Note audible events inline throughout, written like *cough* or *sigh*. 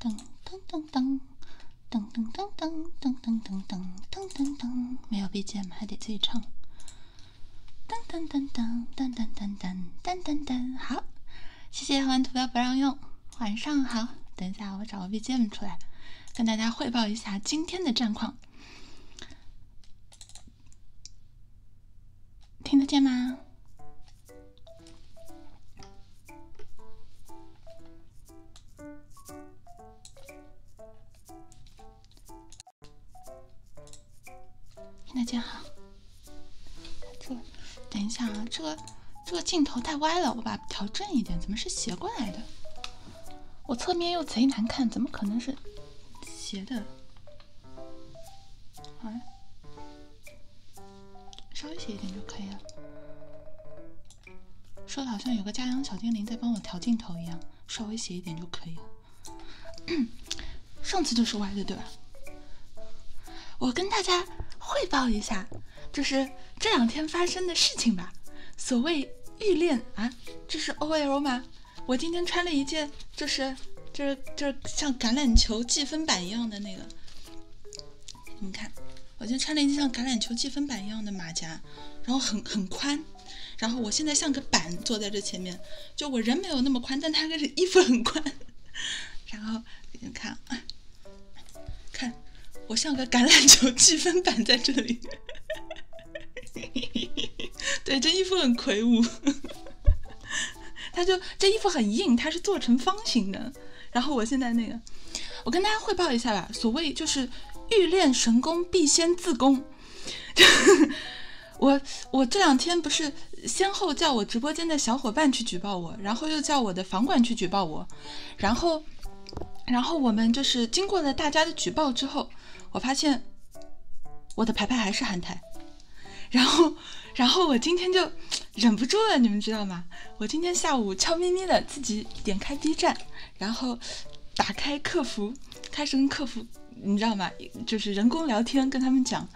噔噔噔噔噔噔噔噔噔噔噔噔噔噔噔，没有 BGM 还得自己唱。噔噔噔噔噔噔噔噔噔噔，好，谢谢换图标不让用。晚上好，等一下我找个 BGM 出来，跟大家汇报一下今天的战况。听得见吗？听得见哈。这，等一下啊，这个这个镜头太歪了，我把它调正一点，怎么是斜过来的？我侧面又贼难看，怎么可能是斜的？哎，稍微斜一点就可以了。说的好像有个家养小精灵在帮我调镜头一样，稍微斜一点就可以了。*coughs* 上次就是歪的，对吧？我跟大家汇报一下，就是这两天发生的事情吧。所谓欲恋啊，这是 O L 吗？我今天穿了一件，就是就是就是像橄榄球计分板一样的那个。你们看，我今天穿了一件像橄榄球计分板一样的马甲，然后很很宽。然后我现在像个板坐在这前面，就我人没有那么宽，但它个衣服很宽。*laughs* 然后你们看，看我像个橄榄球计分板在这里。*laughs* 对，这衣服很魁梧，他就这衣服很硬，它是做成方形的。然后我现在那个，我跟大家汇报一下吧。所谓就是欲练神功，必先自宫。*laughs* 我我这两天不是先后叫我直播间的小伙伴去举报我，然后又叫我的房管去举报我，然后然后我们就是经过了大家的举报之后。我发现我的牌牌还是韩台，然后，然后我今天就忍不住了，你们知道吗？我今天下午悄咪咪的自己点开 B 站，然后打开客服，开始跟客服，你知道吗？就是人工聊天，跟他们讲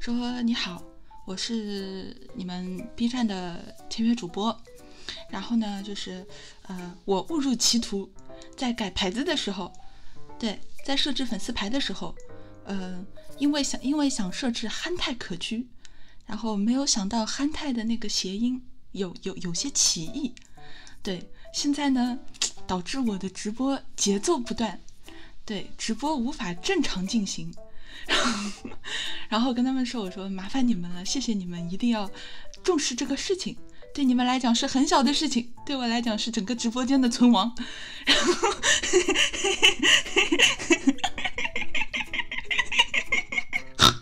说你好，我是你们 B 站的签约主播，然后呢，就是呃，我误入歧途。在改牌子的时候，对，在设置粉丝牌的时候，嗯，因为想，因为想设置憨态可掬，然后没有想到憨态的那个谐音有有有些歧义，对，现在呢，导致我的直播节奏不断，对，直播无法正常进行，*laughs* 然后，然后跟他们说，我说麻烦你们了，谢谢你们，一定要重视这个事情。对你们来讲是很小的事情，对我来讲是整个直播间的存亡。然后，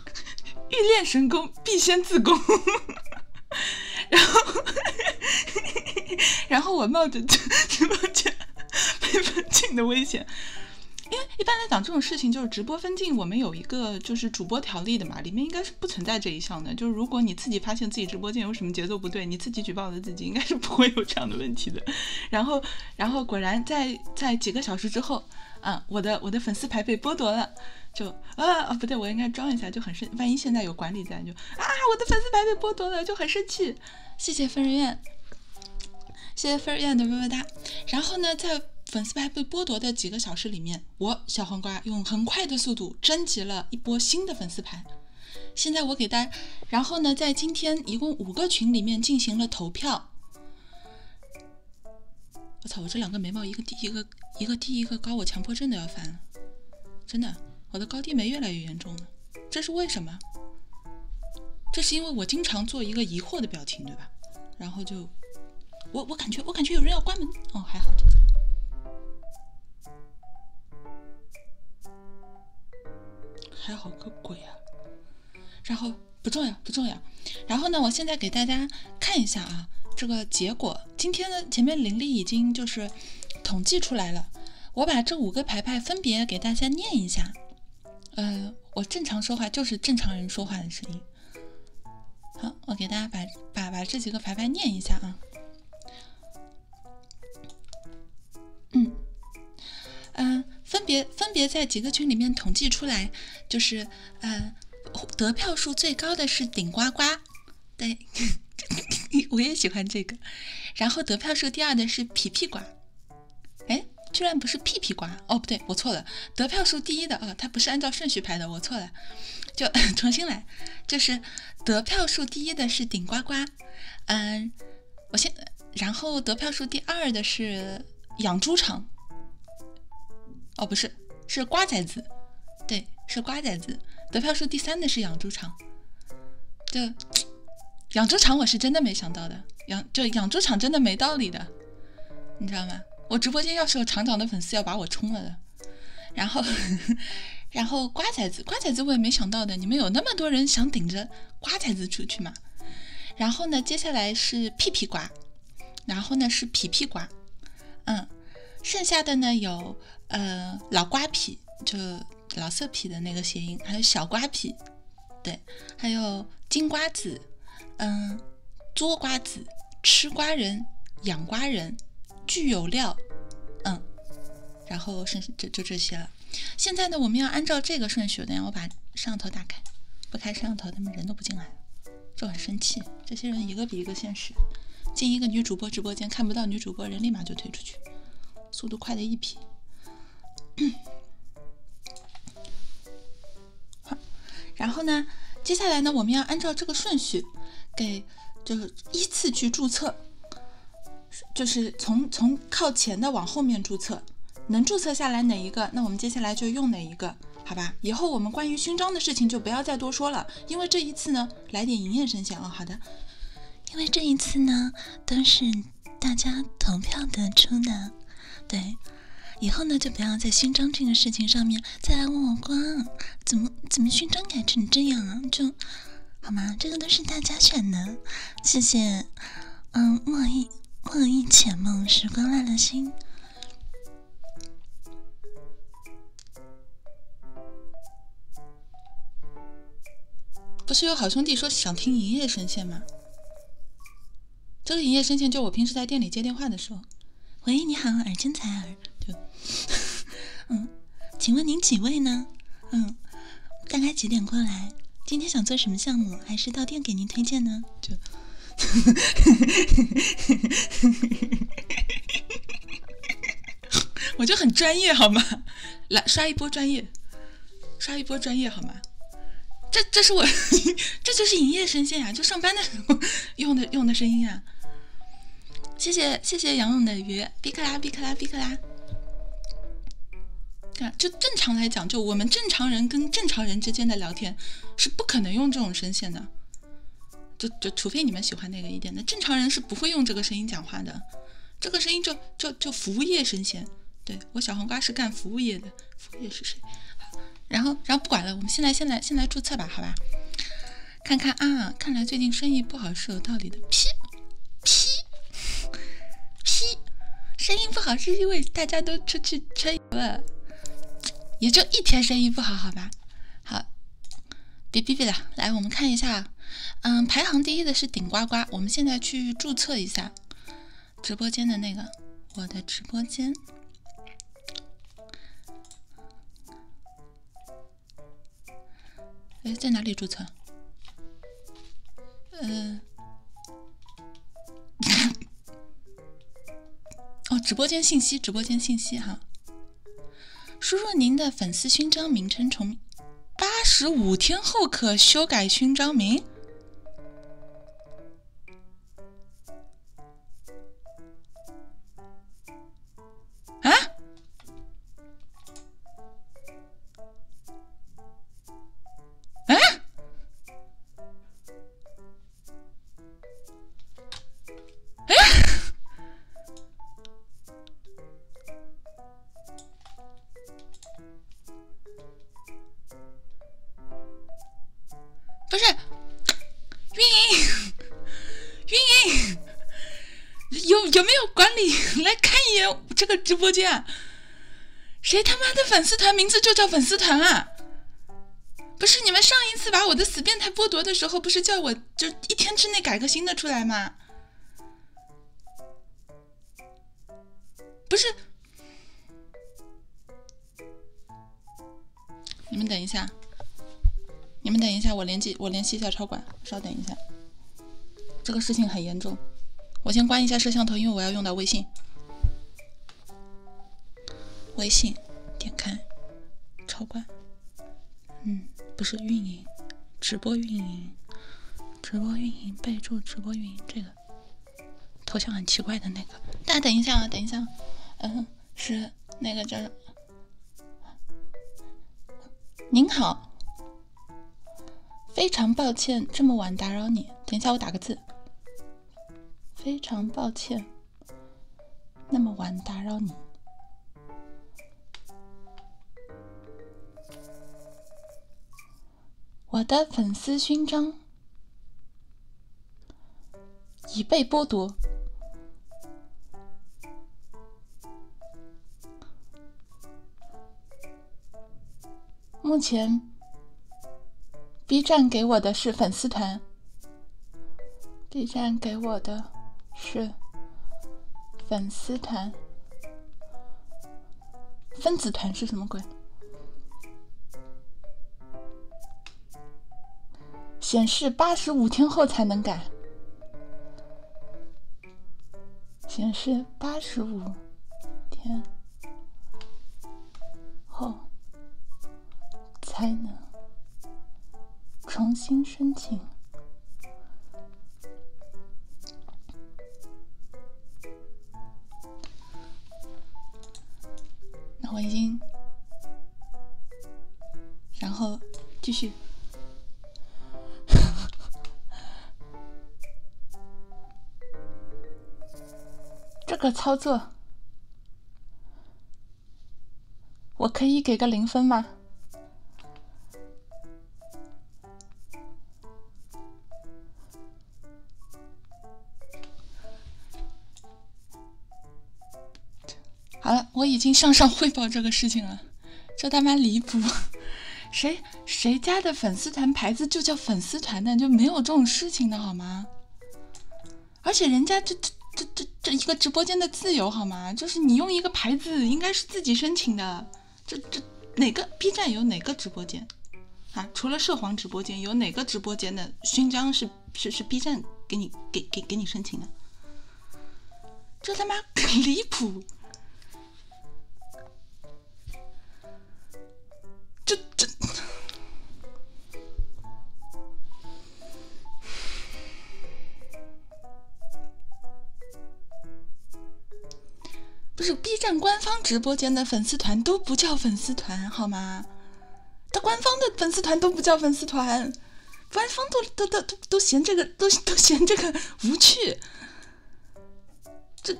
欲练神功，必先自宫。然后，然后我冒着直播间被封禁的危险，因为一般来讲这种事情就是直播封禁，我们有一个就是主播条例的嘛，里面应该是。不存在这一项的，就是如果你自己发现自己直播间有什么节奏不对，你自己举报的自己，应该是不会有这样的问题的。然后，然后果然在在几个小时之后，啊，我的我的粉丝牌被剥夺了，就啊啊不对，我应该装一下，就很生，万一现在有管理在，就啊我的粉丝牌被剥夺了，就很生气。谢谢分人院，谢谢分人院的么么哒。然后呢，在粉丝牌被剥夺的几个小时里面，我小黄瓜用很快的速度征集了一波新的粉丝牌。现在我给大家，然后呢，在今天一共五个群里面进行了投票。我操，我这两个眉毛一个低一个一个低一个高，我强迫症都要犯了，真的，我的高低眉越来越严重了，这是为什么？这是因为我经常做一个疑惑的表情，对吧？然后就我我感觉我感觉有人要关门哦，还好。还好个鬼啊！然后不重要，不重要。然后呢，我现在给大家看一下啊，这个结果。今天的前面灵力已经就是统计出来了，我把这五个牌牌分别给大家念一下。呃，我正常说话就是正常人说话的声音。好，我给大家把把把这几个牌牌念一下啊。嗯嗯，分别分别在几个群里面统计出来，就是呃得票数最高的是顶呱呱，对，*laughs* 我也喜欢这个。然后得票数第二的是皮皮瓜，哎，居然不是屁屁瓜，哦，不对，我错了。得票数第一的啊，它不是按照顺序排的，我错了。就 *laughs* 重新来，就是得票数第一的是顶呱呱，嗯，我先，然后得票数第二的是养猪场，哦不是，是瓜崽子，对，是瓜崽子，得票数第三的是养猪场，就养猪场我是真的没想到的，养就养猪场真的没道理的，你知道吗？我直播间要是有厂长的粉丝要把我冲了的。然后，*laughs* 然后瓜仔子，瓜仔子我也没想到的，你们有那么多人想顶着瓜仔子出去吗？然后呢，接下来是屁屁瓜，然后呢是皮皮瓜，嗯，剩下的呢有呃老瓜皮，就老色皮的那个谐音，还有小瓜皮，对，还有金瓜子，嗯，捉瓜子，吃瓜人，养瓜人，具有料，嗯。然后是就就这些了。现在呢，我们要按照这个顺序等下我把摄像头打开，不开摄像头他们人都不进来，就很生气。这些人一个比一个现实，进一个女主播直播间看不到女主播人，立马就退出去，速度快的一批。好，*coughs* 然后呢，接下来呢，我们要按照这个顺序给。就是依次去注册，就是从从靠前的往后面注册，能注册下来哪一个，那我们接下来就用哪一个，好吧？以后我们关于勋章的事情就不要再多说了，因为这一次呢，来点营业声线哦。好的，因为这一次呢都是大家投票得出的，对，以后呢就不要在勋章这个事情上面再来问我光，怎么怎么勋章改成这样啊？就。好吗？这个都是大家选的，谢谢。嗯，莫意，莫意，浅梦，时光乱了心。不是有好兄弟说想听营业声线吗？这个营业声线就我平时在店里接电话的时候。喂，你好，耳尖采耳。对，*laughs* 嗯。请问您几位呢？嗯，大概几点过来？今天想做什么项目？还是到店给您推荐呢？就，*laughs* 我就很专业好吗？来刷一波专业，刷一波专业好吗？这这是我，*laughs* 这就是营业声线呀，就上班的时候用的用的声音啊。谢谢谢谢杨勇的鱼，比克拉比克拉比克拉。看，就正常来讲，就我们正常人跟正常人之间的聊天，是不可能用这种声线的。就就除非你们喜欢那个一点的，正常人是不会用这个声音讲话的。这个声音就就就服务业声线。对我小黄瓜是干服务业的，服务业是谁？然后然后不管了，我们现在现在现在注册吧，好吧？看看啊，看来最近生意不好是有道理的。批批批，生意不好是因为大家都出去吹了，也就一天生意不好，好吧？好，别逼逼了，来，我们看一下，嗯，排行第一的是顶呱呱，我们现在去注册一下直播间的那个我的直播间。哎，在哪里注册？嗯，哦，直播间信息，直播间信息哈。输入您的粉丝勋章名称，从八十五天后可修改勋章名。啊？不是，运营，运营。有有没有管理来看一眼这个直播间？谁他妈的粉丝团名字就叫粉丝团啊？不是你们上一次把我的死变态剥夺的时候，不是叫我就一天之内改个新的出来吗？不是，你们等一下，你们等一下，我联系我联系一下超管，稍等一下。这个事情很严重，我先关一下摄像头，因为我要用到微信。微信点开，超管。嗯，不是运营，直播运营，直播运营备注直播运营，这个头像很奇怪的那个。大家等一下啊，等一下，嗯，是那个叫……您好。非常抱歉这么晚打扰你，等一下我打个字。非常抱歉那么晚打扰你。我的粉丝勋章已被剥夺。目前，B 站给我的是粉丝团。B 站给我的是粉丝团。分子团是什么鬼？显示八十五天后才能改。显示八十五天后才能重新申请。那我已经，然后继续。*laughs* 这个操作，我可以给个零分吗？好了，我已经向上汇报这个事情了。这他妈离谱！*laughs* 谁谁家的粉丝团牌子就叫粉丝团的就没有这种事情的好吗？而且人家这这这这这一个直播间的自由好吗？就是你用一个牌子应该是自己申请的，这这哪个 B 站有哪个直播间啊？除了涉黄直直播播间，间有哪个的勋章是是是 B 站给你给给给你申请的？这他妈 *laughs* 离谱！这这不是 B 站官方直播间的粉丝团都不叫粉丝团好吗？他官方的粉丝团都不叫粉丝团，官方都都都都都嫌这个都都嫌这个无趣。这，你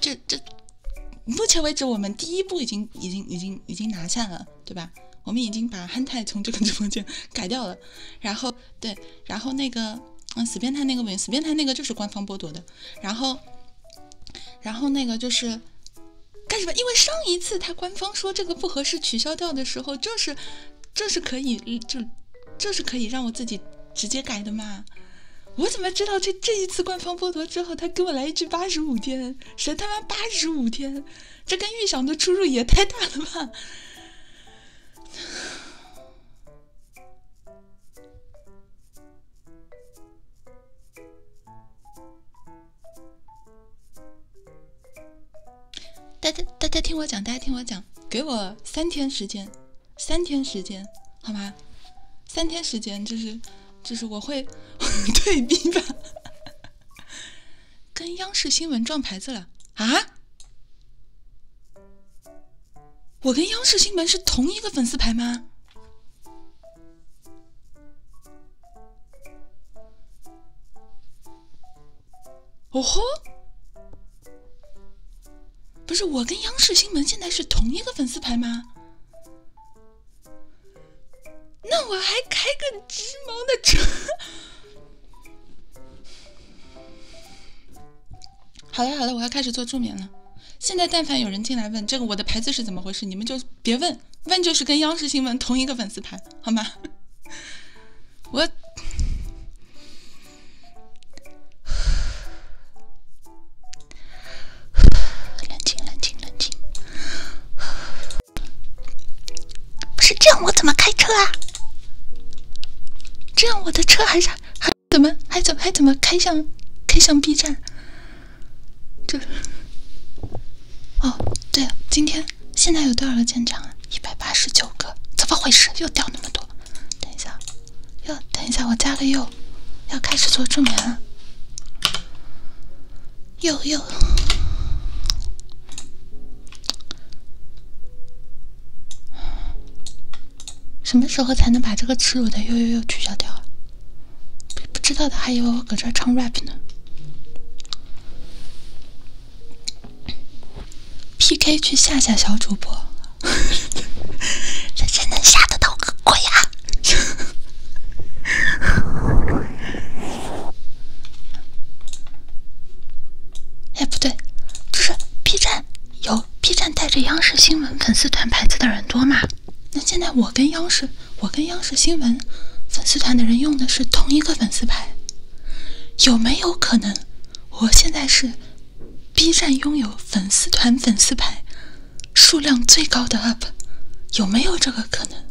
这这，目前为止我们第一步已经已经已经已经拿下了，对吧？我们已经把憨态从这个直播间 *laughs* 改掉了，然后对，然后那个嗯死变态那个不行，死变态那个就是官方剥夺的，然后然后那个就是。干什么？因为上一次他官方说这个不合适取消掉的时候，就是，就是可以，就，就是可以让我自己直接改的嘛。我怎么知道这这一次官方剥夺之后，他给我来一句八十五天？谁他妈八十五天？这跟预想的出入也太大了吧！*sighs* 大家大家听我讲，大家听我讲，给我三天时间，三天时间，好吗？三天时间就是就是我会 *laughs* 退比吧，*laughs* 跟央视新闻撞牌子了啊！我跟央视新闻是同一个粉丝牌吗？*laughs* 哦吼！不是我跟央视新闻现在是同一个粉丝牌吗？那我还开个直毛的车。*laughs* 好了好了，我要开始做助眠了。现在但凡有人进来问这个我的牌子是怎么回事，你们就别问，问就是跟央视新闻同一个粉丝牌，好吗？我，冷静冷静冷静，不是这样，我怎么开车啊？这样我的车还是还怎么还怎么还怎么开向开向 B 站？这。哦，对了，今天现在有多少个舰长啊？一百八十九个，怎么回事？又掉那么多！等一下，又等一下，我加了又，要开始做助眠了。又又，什么时候才能把这个耻辱的又又又取消掉啊？不知道的还以为我搁这儿唱 rap 呢。P.K. 去吓吓小主播，*laughs* 这谁能吓得到个鬼啊？*laughs* 哎，不对，这是 B 站，有 B 站带着央视新闻粉丝团牌子的人多嘛？那现在我跟央视，我跟央视新闻粉丝团的人用的是同一个粉丝牌。有没有可能，我现在是 B 站拥有粉丝团粉丝牌数量最高的 UP？有没有这个可能？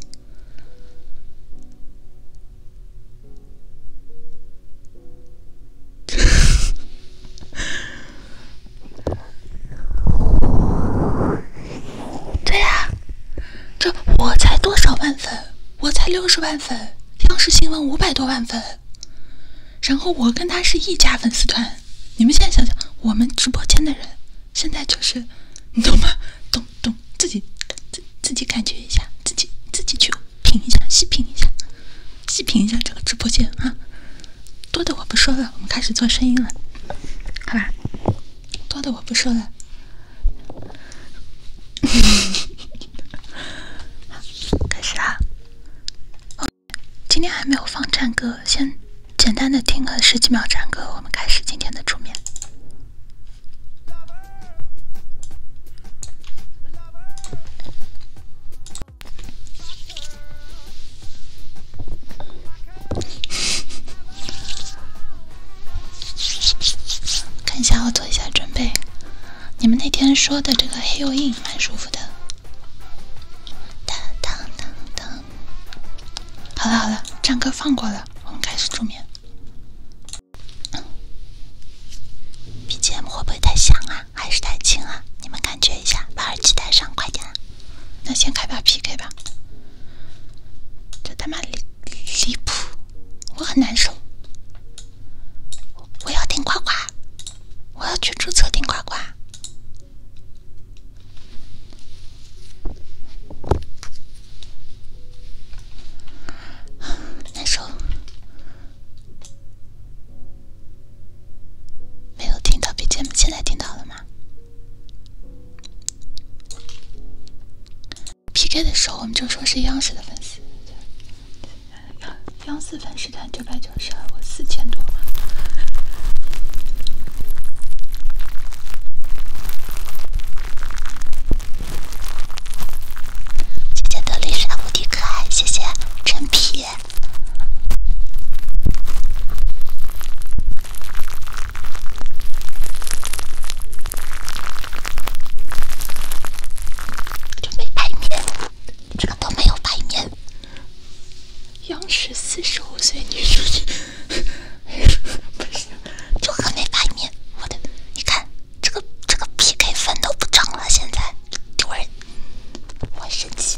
*laughs* 对啊，这我才多少万粉？我才六十万粉，央视新闻五百多万粉，然后我跟他是一家粉丝团。你们现在想想，我们直播间的人现在就是，你懂吗？懂懂自己，自自己感觉一下，自己自己去品一下，细品一下，细品一下这个直播间啊。多的我不说了，我们开始做声音了，好吧？多的我不说了。*laughs* 开始啥？今天还没有放战歌，先简单的听个十几秒战歌，我们开始今天的助眠。看一下，我做一下准备。你们那天说的这个 Heal In 满舒服的。好了好了，战歌放过了，我们开始助眠。BGM 会不会太响啊？还是太轻啊？你们感觉一下，把耳机戴上，快点。那先开把 PK 吧。这他妈离离谱，我很难受。我要听呱呱，我要去注册听呱呱。难受，没有听到 BGM，现在听到了吗？P K 的时候，我们就说是央视的粉丝，央央视粉丝团九百九十二，我四千多。谢谢的丽莎无敌可爱，谢谢真皮。就没排面，这个都没有排面。央视四十五岁女书记，不行，就 *laughs* 很 *laughs* *laughs* 没排面。我的，你看这个这个 PK 分都不涨了，现在丢人，我生气。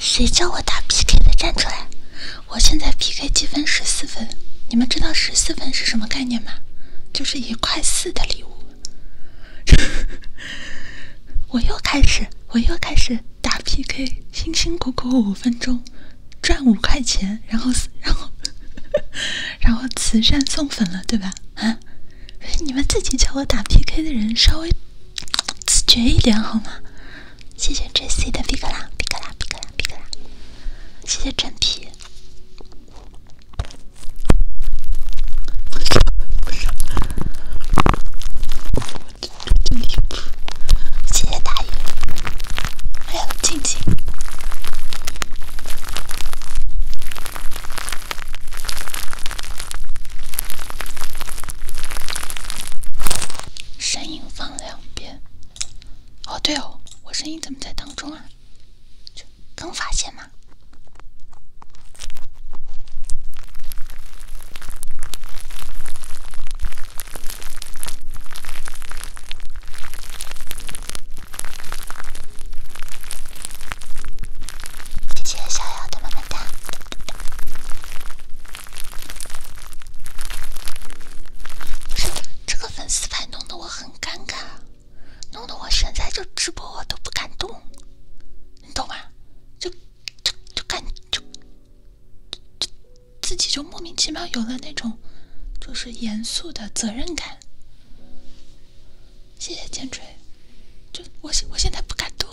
谁叫我打 PK 的，站出来！我现在 PK 积分十四分，你们知道十四分是什么概念吗？就是一块四的礼物。*laughs* 我又开始，我又开始打 PK，辛辛苦苦五分钟赚五块钱，然后然后然后慈善送粉了，对吧？啊！你们自己叫我打 PK 的人稍微自觉一点好吗？谢谢 J C 的皮可拉皮可拉皮可拉皮可拉，谢谢整皮。我谢谢大爷。还有静静。声音放两边。哦对哦，我声音怎么在当中啊？刚发现吗？谢谢逍遥的么么哒。不是，这个粉丝牌弄得我很。很尴尬，弄得我现在就直播我都不敢动，你懂吗？就就就感就就自己就莫名其妙有了那种就是严肃的责任感。谢谢建锤，就我现我现在不敢动。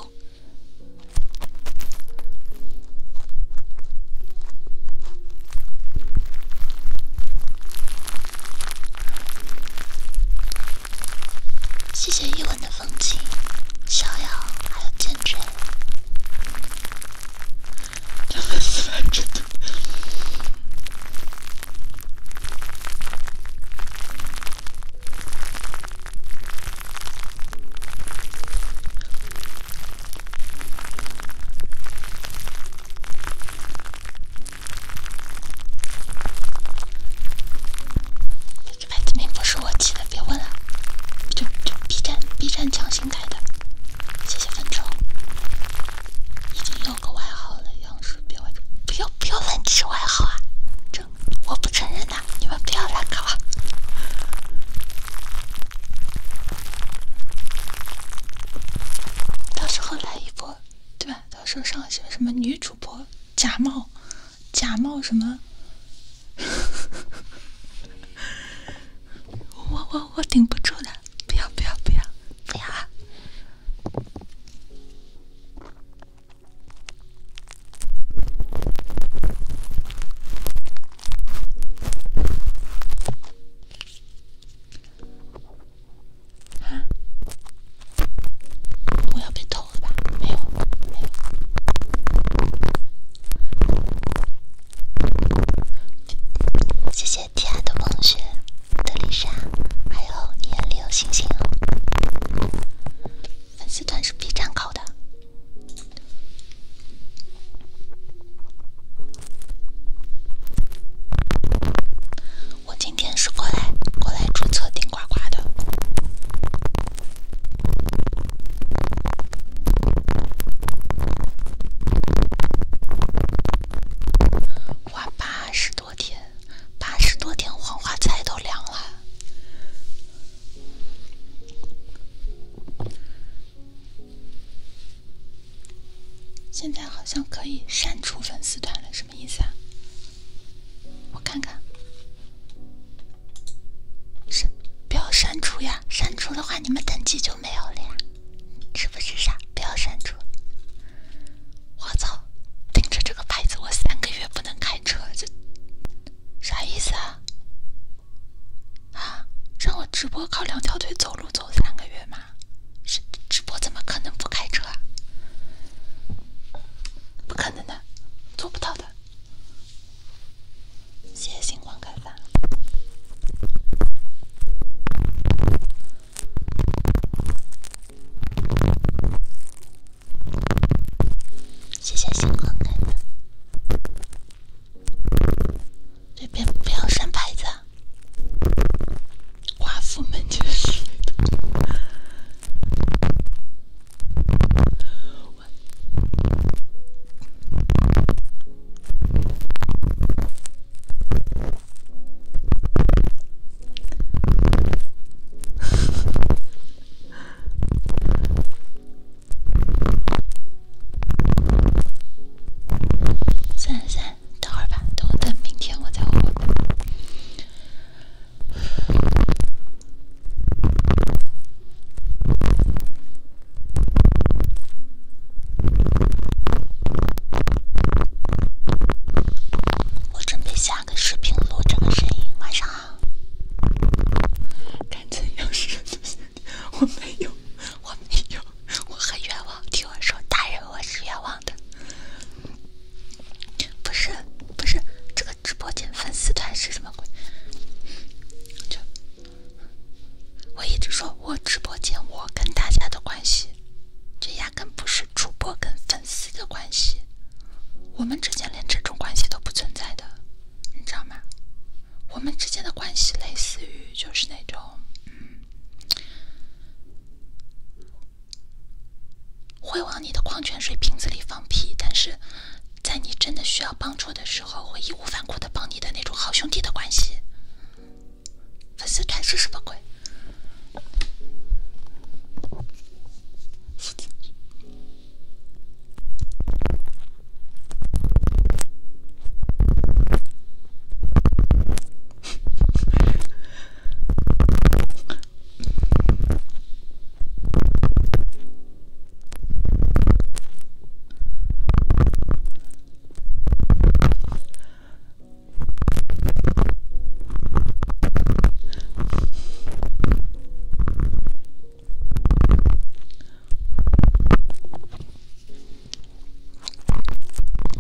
谢谢夜晚的风景，逍遥还有剑锥，真的是真的。这个外号名不是我起的，别问了，就就 B 站 B 站强行改的，谢谢分成，已经有个外号了，杨氏，别外，不要不要乱起外号啊，这我不承认的，你们不要乱搞了。到时候来一波，对吧？到时候上学，什么女主播假冒、假冒什么？*laughs* 我我我顶不住了！不要不要不要！要啊！我要被偷了吧？没有，没有。谢谢爱的梦雪、德丽莎，还有你眼里有星星哦。粉丝团是 B 站搞的。我今天是过来过来注册顶呱呱的。哇，八十多天，八十多天黄花菜都凉了。现在好像可以删除粉丝团了，什么意思啊？我看看，删不要删除呀！删除的话你们等级就没有了呀？是不是傻？不要删除！我操！盯着这个牌子，我三个月不能开车，这啥意思啊？啊，让我直播靠两条腿走路走三个月吗？直直播怎么可能不开车啊？不可能的，做不到的。谢谢星光开饭谢谢星光开饭。对边不要删牌子。寡妇门前是算了算了。等会儿吧，等我等明天我再问。我准备下个视频录这个声音，晚上好。感觉又是这个声我没有，我没有。我很冤枉，听我说，大人，我是冤枉的，不是，不是这个直播间粉丝团是什么鬼？这我一直说我直播间我跟大家的关系，这压根不是主播跟粉丝的关系，我们之间连这种关系都不存在的，你知道吗？我们之间的关系类似于就是那种。会往你的矿泉水瓶子里放屁，但是在你真的需要帮助的时候，会义无反顾的帮你的那种好兄弟的关系。粉丝团是什么鬼？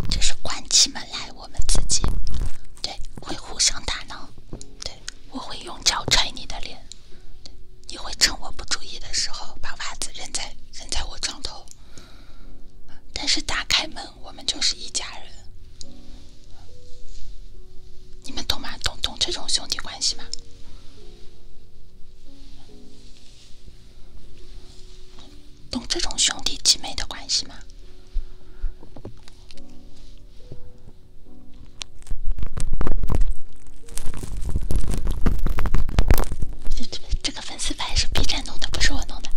这是关起门来。我们自己，对，会互相打闹，对，我会用脚踹你的脸，你会趁我不注意的时候把袜子扔在扔在我床头，但是打开门，我们就是一家人，你们懂吗？懂懂这种兄弟关系吗？懂这种兄弟姐妹的关系吗？这这个粉丝牌是 B 站弄的，不是我弄的。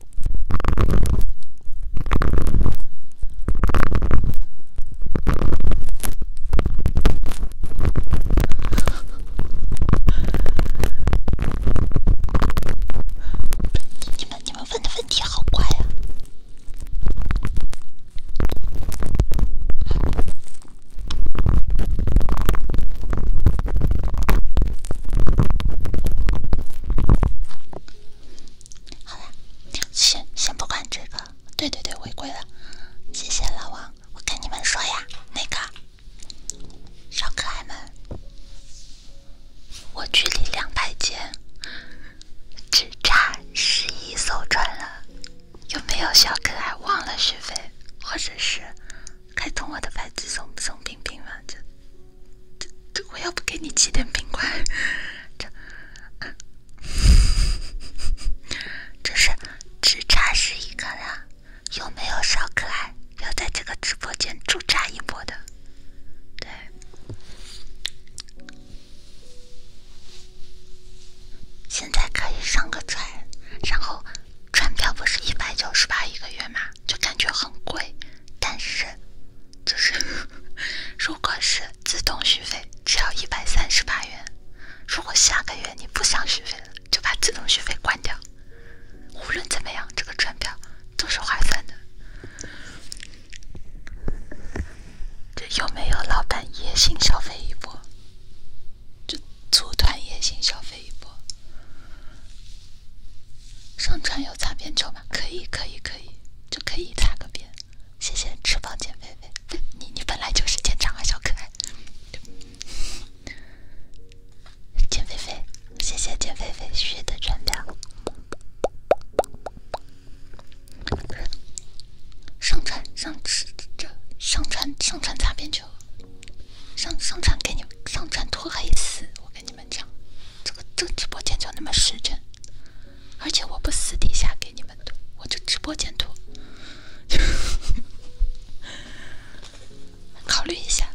你们你们问的问题好怪呀！好了，先先不管这个，对对对，违规了。谢谢老王，我跟你们说呀，那个小可爱们，我距离两百阶只差十一艘船了，有没有小可爱忘了续费，或者是开通我的牌子送送冰冰吗？子？这这我要不给你寄点冰块？*laughs* 这 *laughs* 这是只差十一个了。有没有小可爱要在这个直播间驻扎一波的？对，现在可以上个船，然后船票不是一百九十八一个月吗？就感觉很贵。但是，就是，*laughs* 如果是自动续费，只要一百三十八元。如果下个月你不想续费了，就把自动续费关掉。无论怎么样，这个船票都是划算的。这有没有老板野性消费一波？就组团野性消费一波？上船有擦边球？可以可以可以，就可以擦个边。谢谢翅膀减肥肥，你你本来就是减长啊，小可爱。减肥肥，谢谢减肥肥旭的转谅。上传上吃这，上传上传擦边球，上上传给你们，上传脱黑丝，我跟你们讲，这个这直播间就那么实诚。而且我不私底下给你们涂，我就直播间涂。*laughs* 考虑一下。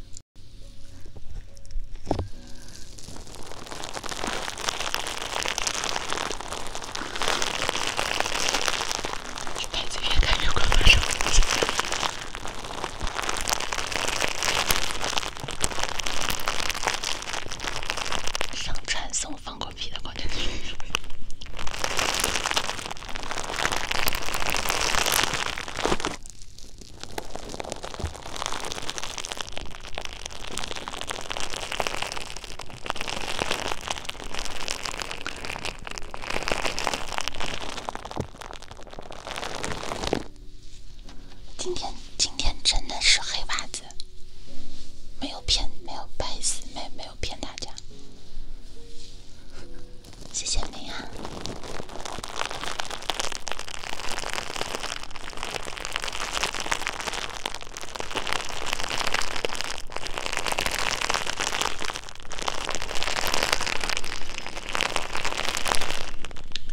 越看越光，马上。上传送放过屁的感觉。今天今天真的是黑袜子。没有骗，没有，不好没没有骗大家，谢谢你啊！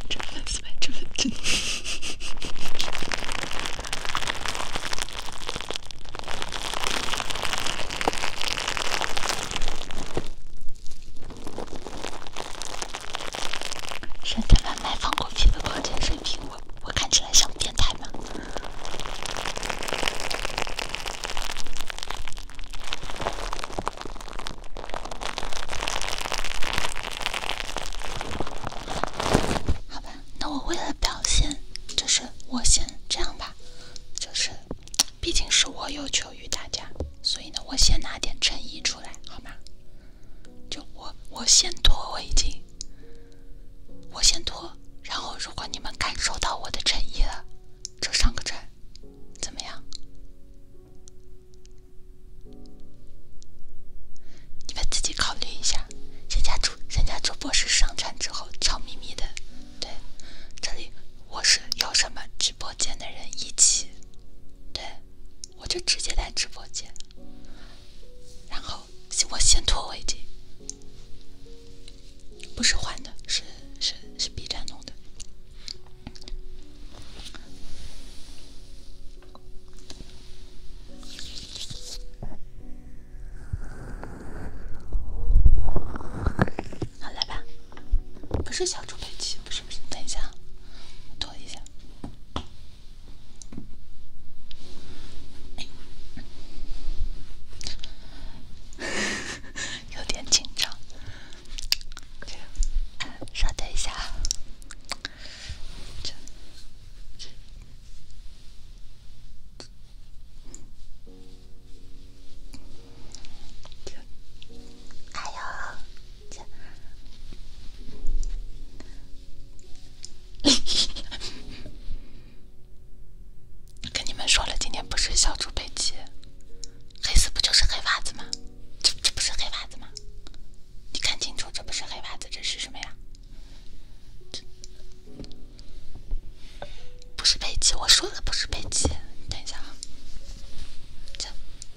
真的，是真的，真。圣诞外卖放果皮的矿泉水瓶，我我看起来像变态吗？好吧，那我为了表现，就是我先这样吧，就是，毕竟是我有求于大家，所以呢，我先拿点诚意出来，好吗？就我，我先脱围巾，我先脱，然后如果你们感受到我的诚意了，就上个阵，怎么样？你们自己考虑一下，人家主人家主播是上场之后，悄咪咪的，对，这里我是有什么直播间的人一起，对，我就直接来直播间，然后我先脱围巾，不是换的，是是是 B 站弄的。好来吧，不是小猪佩奇，不是不是，等一下，躲一下，*laughs* 有点紧张，稍等一下。跟你们说了，今天不是小猪佩奇，黑丝不就是黑袜子吗？这不是黑袜子吗？你看清楚，这不是黑袜子，这是什么呀？不是佩奇，我说的不是佩奇，等一下啊，这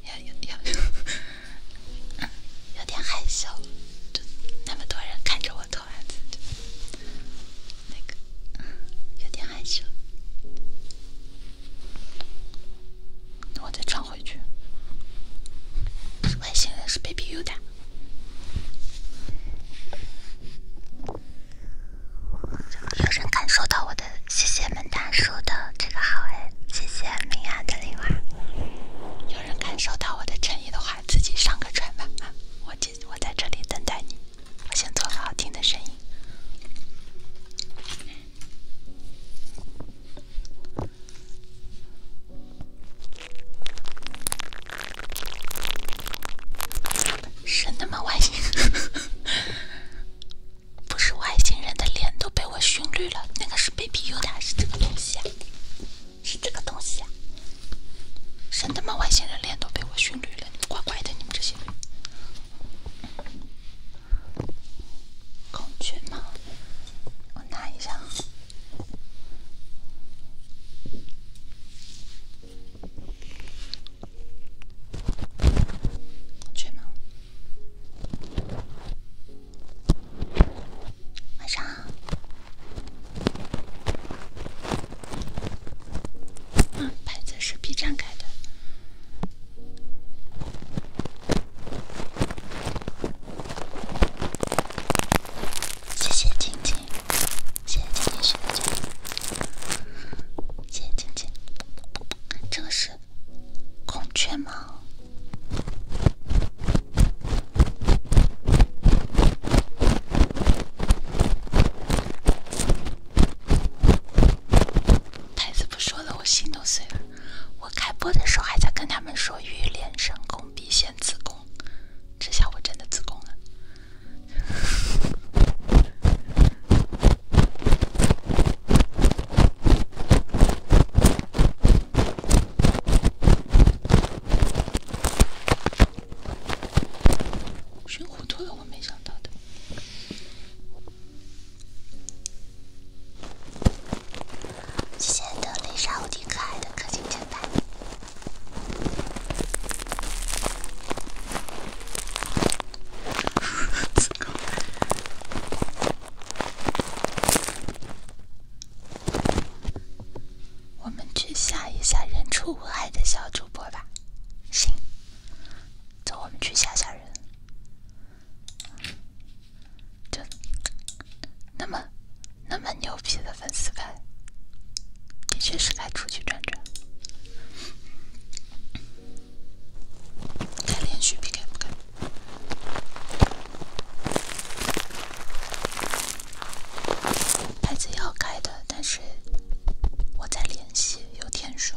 要要 *laughs* 有点害羞，就那么多人看着我脱袜子，那个有点害羞，我在穿。回去，外星人是 Baby U 的。有人感受到我的，谢谢门大叔的这个好哎，谢谢明雅的礼物。有人感受到我的诚意的话，自己上个船吧，我接我在这里等待你。我先做个好听的声音。神他妈外星，人，*laughs* 不是外星人的脸都被我熏绿了。那个是 Baby U 的还是这个东西啊？是这个东西啊！神他妈外星人脸都被我熏绿了，你们乖乖的，你们这些公爵吗？拿一下。睡吗？晚上好。嗯，是 B 站开的。谢谢静静，谢谢静静谢谢静静，这个是孔雀吗？台词不说了，我心都碎了。我开播的时候还在跟他们说“欲练神功，必先自宫”。这下我真的自宫了，熏糊涂了，我没想到的。谢谢德丽莎无敌可爱的氪金正版。我们去下一下人畜无害的小主播吧。行，走，我们去下下人。就那么。那么牛皮的粉丝牌，的确是该出去转转。该连续 PK 不？该？牌子要改的，但是我在联系，有天数。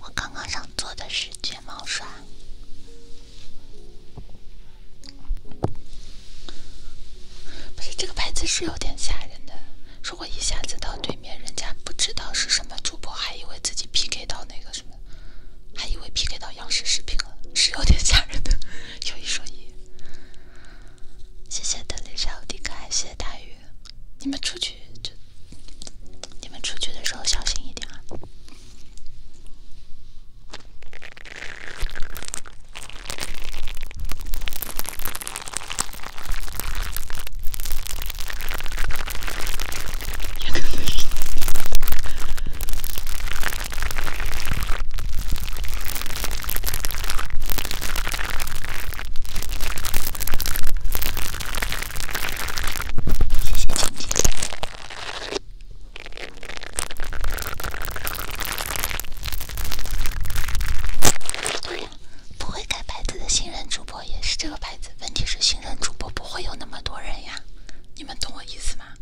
我刚刚想做的是睫毛刷，不是这个牌子是有点吓人的。如果一下子到对面，人家不知道是什么主播，还以为自己 PK 到那个什么。还以为 PK 到央视视频了，是有点吓人的。*laughs* 有一说一，谢谢德雷莎、有点可爱，谢谢大鱼。你们出去就，你们出去的时候小心一点啊。谢谢前进。不会改牌子的新人主播。也是这个牌子，问题是新人主播不会有那么多人呀，你们懂我意思吗？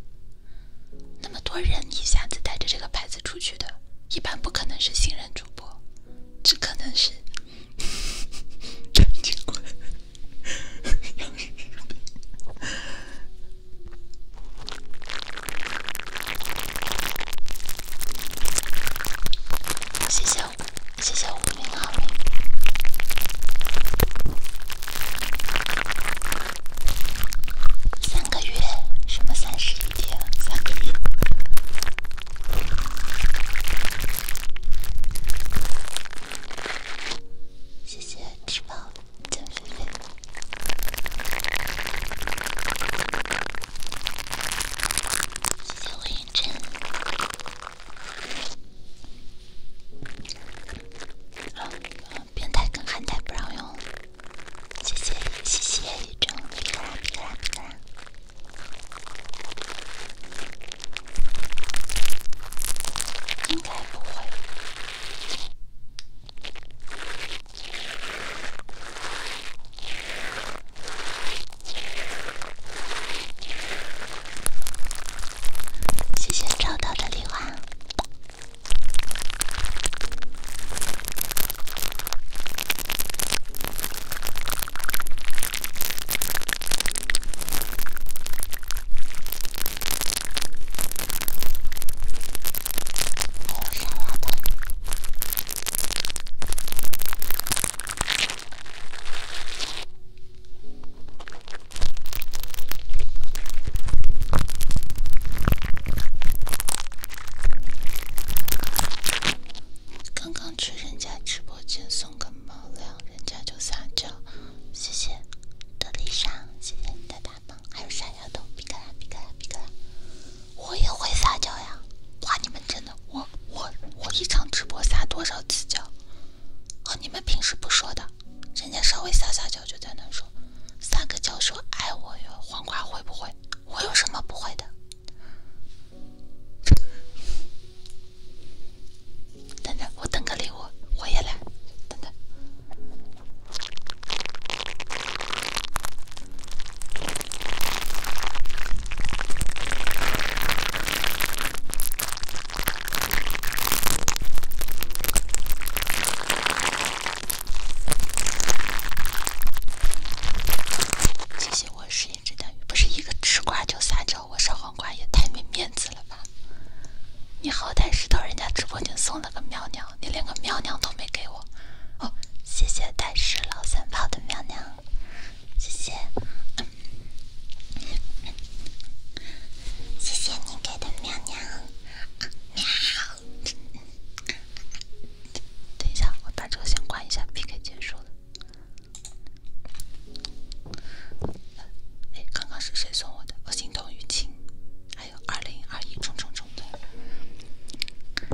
那么多人一下子带着这个牌子出去的，一般不可能是新人主播，只可能是。贪谢谢。谢谢五零二零，三个月，什么三十一天，三个月。谢谢吃饱，僵尸肥。谢谢我彦真。啊！冰台跟寒台不让用，谢谢谢谢雨中比拉比拉哥，应该不会。谢谢找到的礼物。刚刚去人家直播间送个猫粮，人家就撒娇，谢谢德丽莎，谢谢你的大棒，还有傻丫头，皮卡拉，皮卡拉，皮卡拉，我也会撒娇呀，哇，你们真的，我我我一场直播撒多少次娇？哦，你们平时不说的，人家稍微撒撒娇就在那说撒个娇说爱我哟，黄瓜会不会？我有什么不会的？等着，我等个礼物，我也来。等等。谢谢，我是一只大鱼，不是一个吃瓜就撒娇。我烧黄瓜也太没面子了吧！你好歹是到人家直播间送了个喵娘，你连个喵娘都没给我。哦，谢谢但是老三炮的喵娘，谢谢。谢谢你给的喵喵，喵！等一下，我把这个先关一下，PK 结束了。哎，刚刚是谁送我的？我心痛于青，还有二零二一重重重的。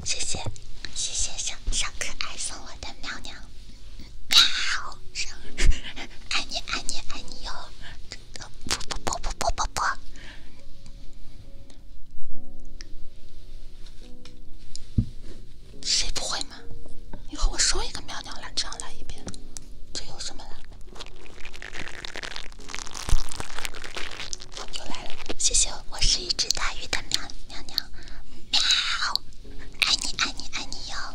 谢谢，谢谢小小可爱送我的喵喵，喵！上，爱你爱你爱你哟。不不不不不不不！谁不会嘛？你和我说一个喵喵来，这样来一遍，这有什么了？又来了，谢谢我，是一只大鱼的喵喵喵喵，爱你爱你爱你哟。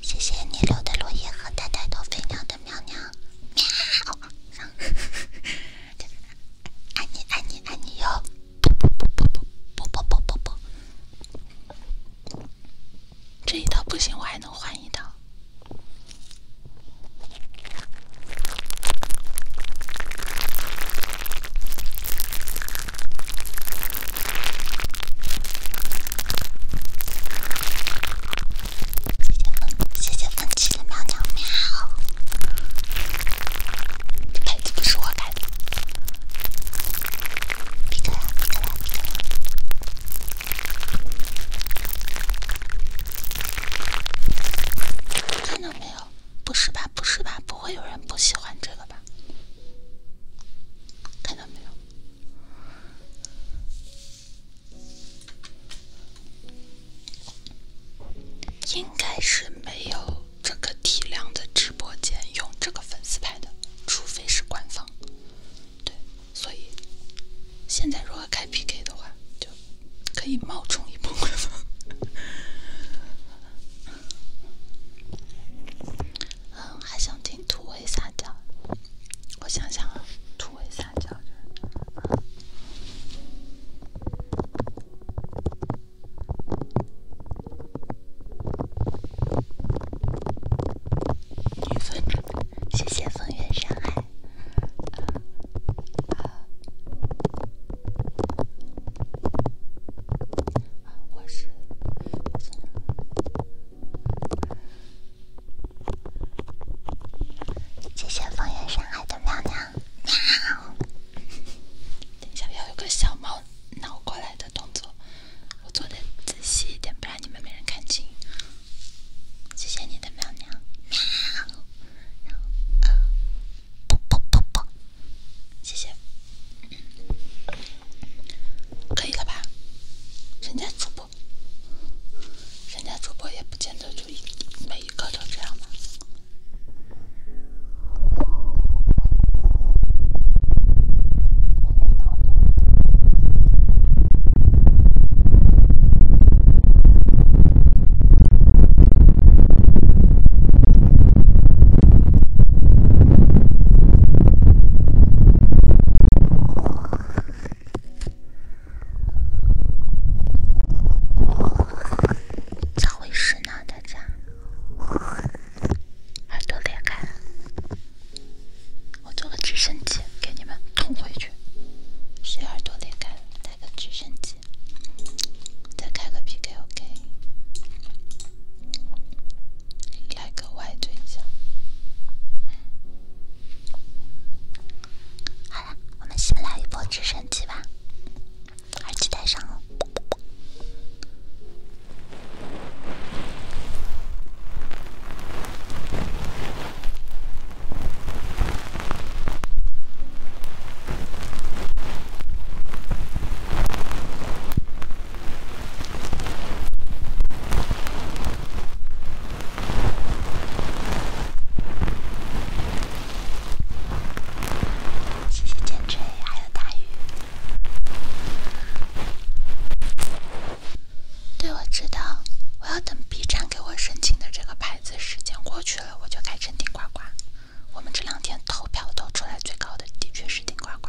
谢谢你留的落叶和带带头飞鸟的喵喵喵！爱 *laughs* 你爱你爱你哟！不不不不不不不不不不，这一套不行，我还能换一套。谢谢粉丝，喵喵喵！这杯子不是我干的。皮克，皮克！看到没有？不是吧？不是吧？不会有人不喜欢这个吧？看到没有？应该是没有这个体量的直播间用这个粉丝牌的，除非是官方。对，所以现在如果开 PK 的话，就可以冒充一波官方。嗯，还想听土味撒娇？我想想啊，土味撒娇谢谢风月上海。啊，我是，谢谢风月山海的喵喵，喵。等一下要有个小猫挠过来的动作，我做的仔细一点，不然你们没人看清。谢谢你的喵喵，喵。谢谢。可以了吧？人家主播，人家主播也不见得就每一个都这样嘛。咋回事呢？大家耳朵裂开了！我做个直升机给你们捅回去。谁耳朵裂开了？带个直升机，再开个 PKOK。来个外对角。好了，我们先来一波直升机吧，耳机带上了。谢谢坚持，还有大雨。对，我知道，我要等 B 站给我申请的这个牌子时间过去了，我就改成顶呱呱。我们这两天投票投出来最高的，的确是顶呱呱。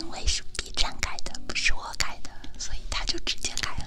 因为是 B 站改的，不是我。我改的，所以他就直接改了。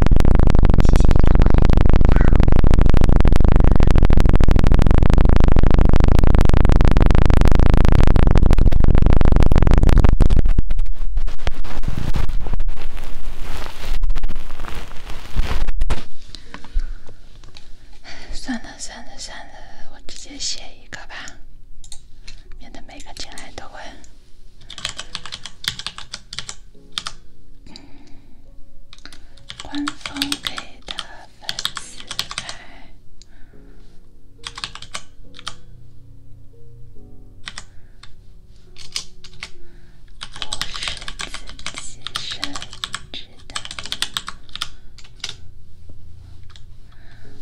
算了算了算了，我直接写一个吧，免得每个进来都问。官方给的粉丝牌，我是自己设置的，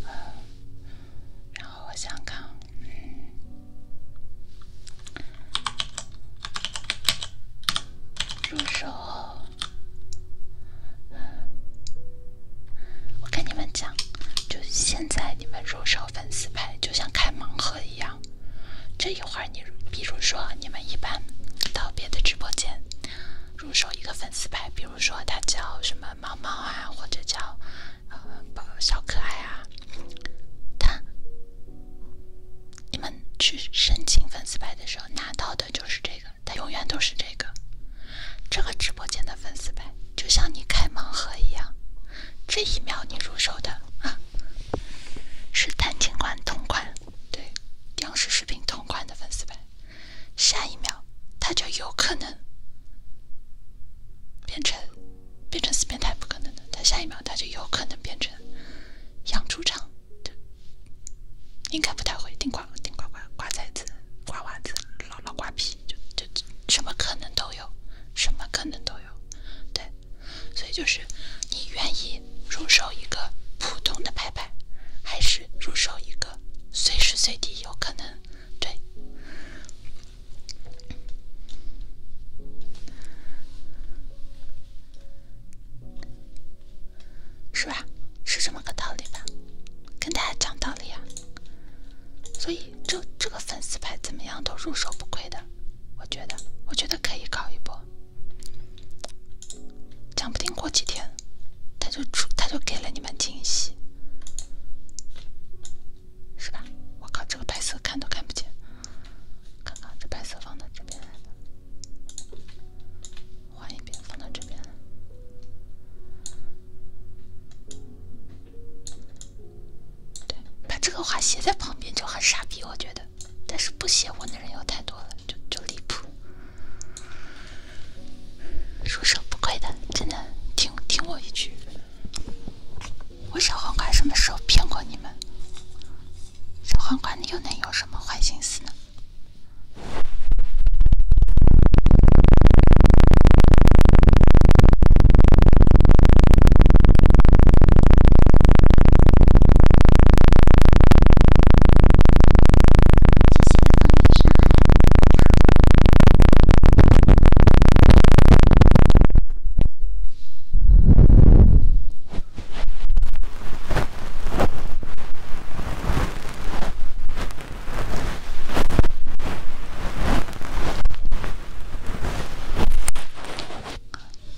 呃，然后我想看，嗯。入手，我跟你们讲，就现在你们入手粉丝牌，就像开盲盒一样。这一会儿，你比如说你们一般到别的直播间入手一个粉丝牌，比如说他叫什么猫猫啊，或者叫呃小可爱啊，他。你们去申请粉丝牌的时候拿到的就是这个，它永远都是这个。这个直播间的粉丝牌就像你开盲盒一样，这一秒你入手的啊，是谭警官同款，对，央视视频同款的粉丝牌。下一秒，它就有可能变成，变成死变态不可能的，它下一秒它就有可能变成。养猪场就应该不太会，顶呱顶呱呱呱崽子，呱娃子，老老瓜皮，就就什么可能都有，什么可能都有，对，所以就是你愿意入手一个普通的牌牌，还是入手一个随时随地有可能对？是吧？是这么个道理吧？跟大家讲道理呀。所以这这个粉丝牌怎么样都入手不亏的，我觉得，我觉得可以搞一波。讲不定过几天，他就出，他就给了你们惊喜，是吧？我靠，这个白色看都看不见，看看这白色放到这边。来换一边放到这边。对，把这个话写在旁边就很傻逼，我觉得。但是不写文的人又太多了，就就离谱。说说不亏的，真的，听听我一句。我小黄瓜什么时候骗过你们？小黄瓜你又能又瘦。怎么坏心思呢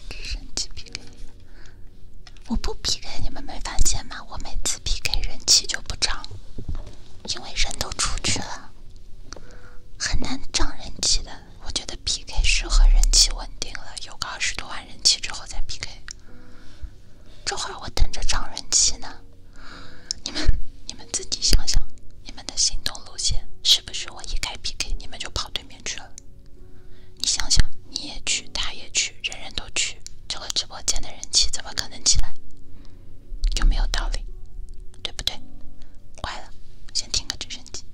直升机 PK，我不 PK，你们没发现吗？我每次 PK 人气就不涨，因为人都出去了，很难涨人气的。我觉得 PK 适合人气稳定了，有个二十多万。人气之后再 PK，这会儿我等着涨人气呢。你们你们自己想想，你们的行动路线是不是我一开 PK 你们就跑对面去了？你想想，你也去，他也去，人人都去，这个直播间的人气怎么可能起来？有没有道理？对不对？坏了，先听个直升机。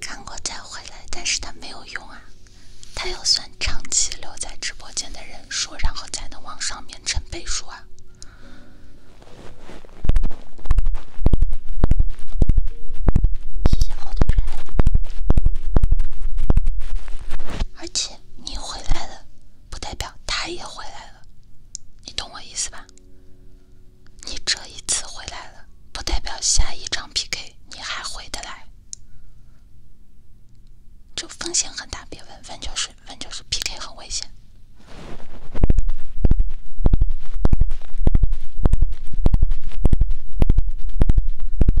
看过再回来，但是他没有用啊！他要算长期留在直播间的人数，然后才能往上面乘倍数啊！而且。你回来了，不代表他也回来了，你懂我意思吧？你这一次回来了，不代表下一场 P K 你还回得来，这风险很大，别问，问就是问就是 P K 很危险。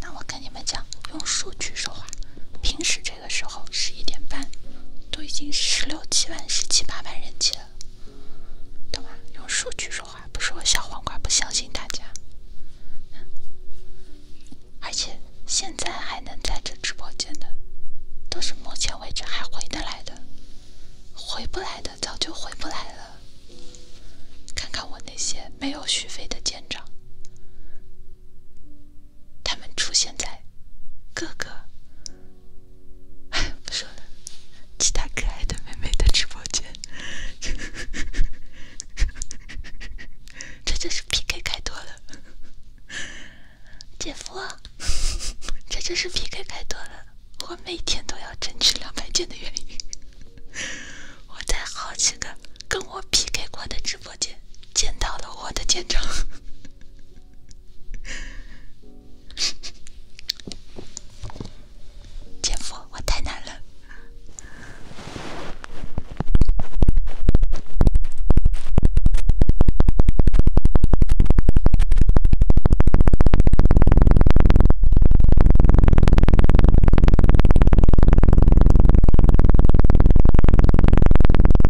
那我跟你们讲，用数据说话。平时这。这个时候十一点半，都已经十六七万、十七八万人气了，懂吗？用数据说话，不是我小黄瓜不相信大家。而且现在还能在这直播间的，都是目前为止还回得来的，回不来的早就回不来了。看看我那些没有续费的舰长。他们出现在各个……哎，不说了，其他可爱的妹妹的直播间，这就是 PK 开多了。姐夫，这就是 PK 开多了，我每天都要争取两百件的原因。我在好几个。跟我 PK 过的直播间，见到了我的舰长，*laughs* 姐夫，我太难了。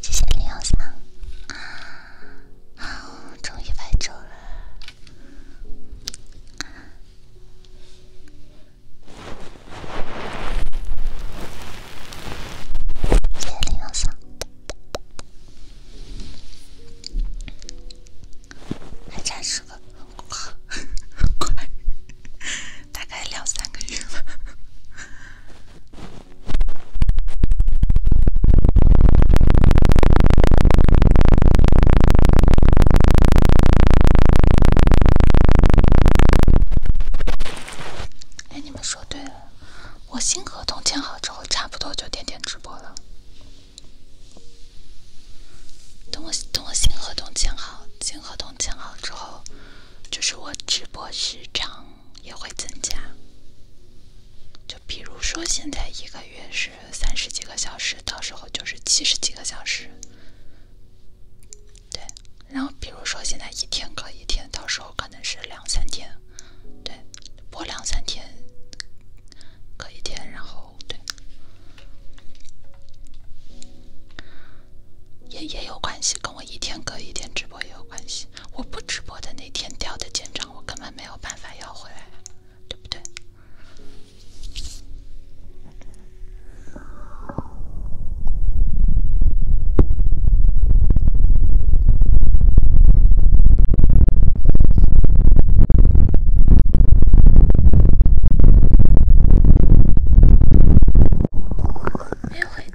谢谢零幺三，终于白昼了。谢谢零幺三，还差十个，快，快！*laughs* 大概两三个月了。哎，你们说对了，我新合同签好之后，差不多就天天直播了。等我等我新合同签好，新合同签好之后。就是我直播时长也会增加，就比如说现在一个月是三十几个小时，到时候就是七十几个小时，对。然后比如说现在一天隔一天，到时候可能是两三天，对，播两三天，隔一天，然后对，也也有关系。跟我一天隔一天直播也有关系。我不直播的那天掉的建章，我根本没有办法要回来，对不对？没回。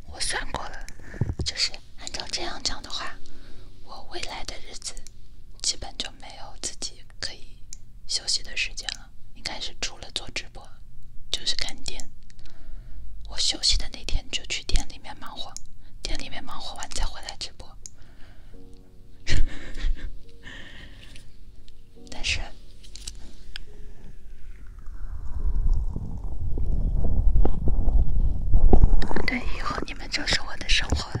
我算过了，就是按照这样讲的话，我未来的日子基本就没有自己可以休息的时间了，应该是除了做直播，就是看店。我休息的那天就去店里面忙活，店里面忙活完再回来直播。*laughs* 但是。对，以后你们就是我的生活了。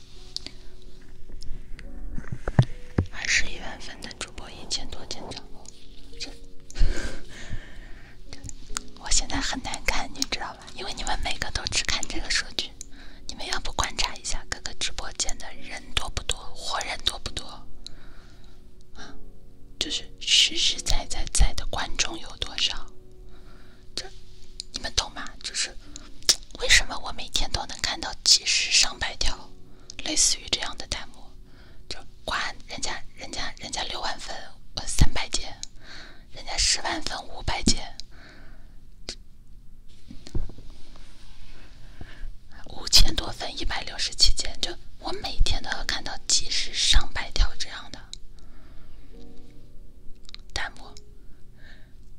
二十一万分的主播，一千多间直播，这，这，我现在很难看，你知道吧？因为你们每个都只看这个数据，你们要不观察一下各个直播间的人多不多，活人多不多，啊，就是实实在在在的观众有多少，这，你们懂吗？就是。*tsk* 为什么我每天都能看到几十上百条类似于这样的弹幕？就哇，人家人家人家六万粉三百件，人家十万粉五百件，五千多粉一百六十七件，就我每天都要看到几十上百条这样的弹幕。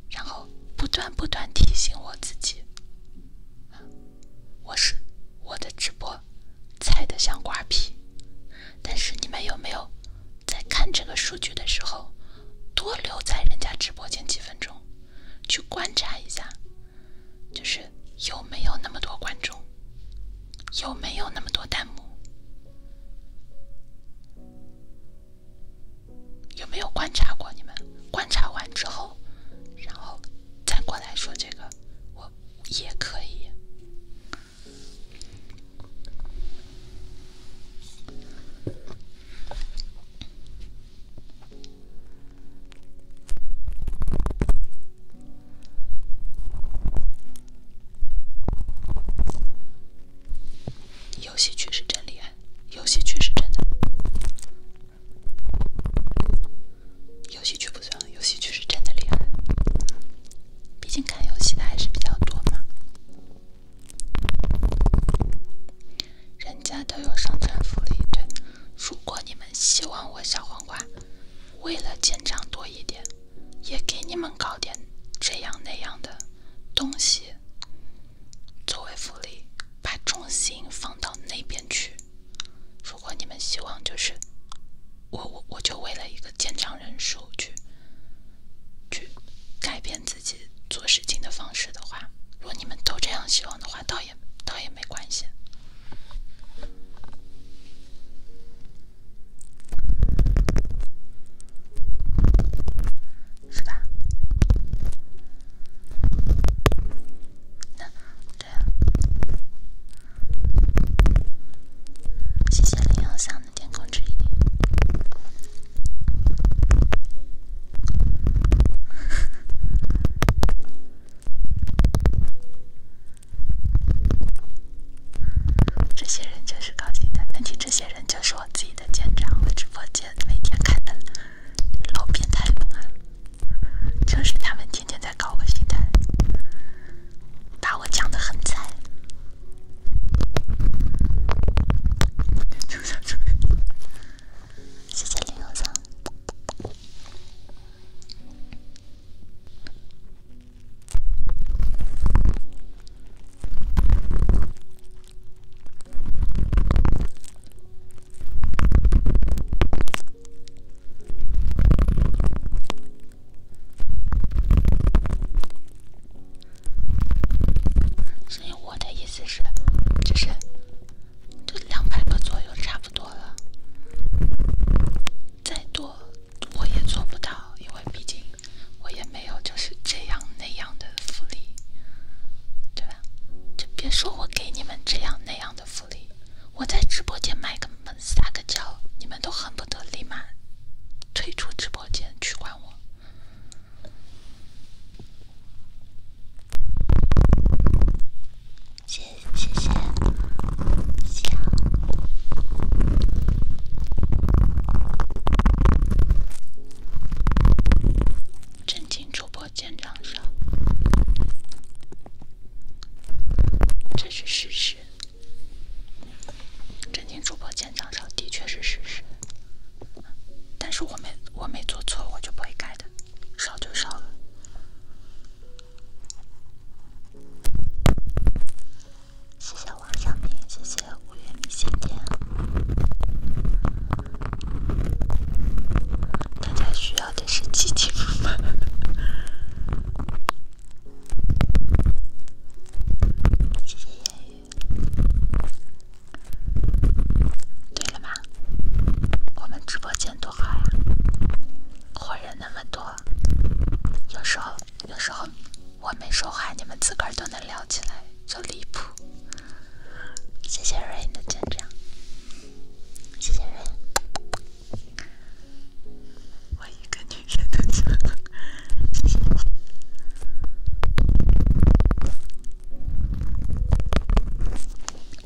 然后不断不断提醒我自己，我是我的直播菜得像瓜皮。但是你们有没有在看这个数据的时候，多留在人家直播间几分钟，去观察一下，就是有没有那么多观众，有没有那么多弹幕？有没有观察过？你们观察完之后，然后再过来说这个，我也可以。游戏区是真厉害，游戏区是真的。游戏区不算，游戏区是真的厉害，毕竟看游戏的还是比较多嘛。人家都有商城福利，对。如果你们希望我小黄瓜，为了进账多一点，也给你们搞点这样那样的东西。作为福利，把重心放到那边去。如果你们希望就是我我我就为了一个健康人数去去改变自己做事情的方式的话，如果你们都这样希望的话，倒也倒也没关系。是吧？那对啊。谢谢林有香的天空之翼。*laughs* 这些人就是高兴的问题，这些人就是我自己的舰长，我直播间每天看的。老变态了，这是他们天天在搞我心态，把我讲的很惨。谢谢刘医生。所以我的意思是，就是，就两百个左右差不多了。再多我也做不到，因为毕竟我也没有就是这样那样的福利，对。就别说我给你们这样那样的福利，我在直播间卖个萌撒个娇，你们都恨不得立马退出直播间取关我。谢谢谢谢，震惊主播。见涨少，这是事实。正经主播见涨少的确是事实，但是我没我没做错，我就不会改的，少就少了。谢谢王小明，谢谢五月米线店。大家需要的是集体谢谢对了嘛，我们直播间多好呀，活人那么多，有时候有时候我没说话，你们自个儿都能聊起来，就离谱。谢谢瑞的见证，谢谢瑞。我一个女生的证。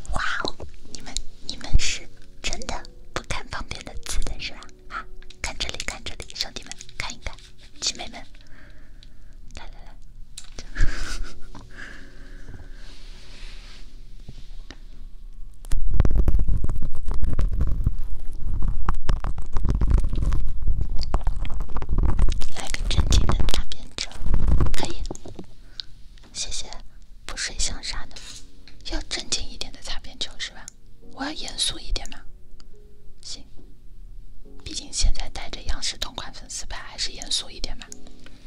*laughs* 哇哦，你们你们是真的不看旁边的字的是吧？啊，看这里看这里，兄弟们看一看，集美们，来来来。来个正经的擦边球，可以？谢谢，不睡香啥的，要正经一点的擦边球是吧？我要严肃一点嘛。行，毕竟现在带着央视同款粉丝牌，还是严肃一点嘛。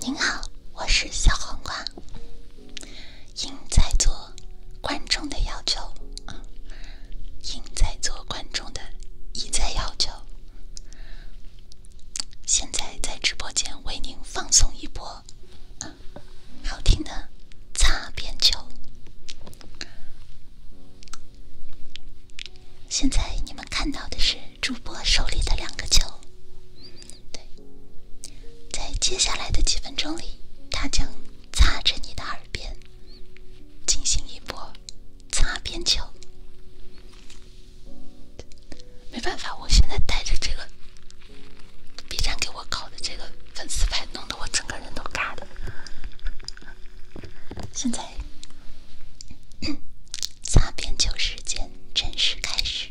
您好，我是小黄瓜。应在做观众的要求，应在做观众的一再要求，现在在直播间为您放送一波好听的擦边球。现在你们看到的是主播手里的两个球。对，在接下来的几分钟里，他将擦着你的耳边进行一波擦边球。没办法，我现在戴着这个 B 站给我搞的这个粉丝牌，弄得我整个人都尬的。现在擦边球时间正式开始。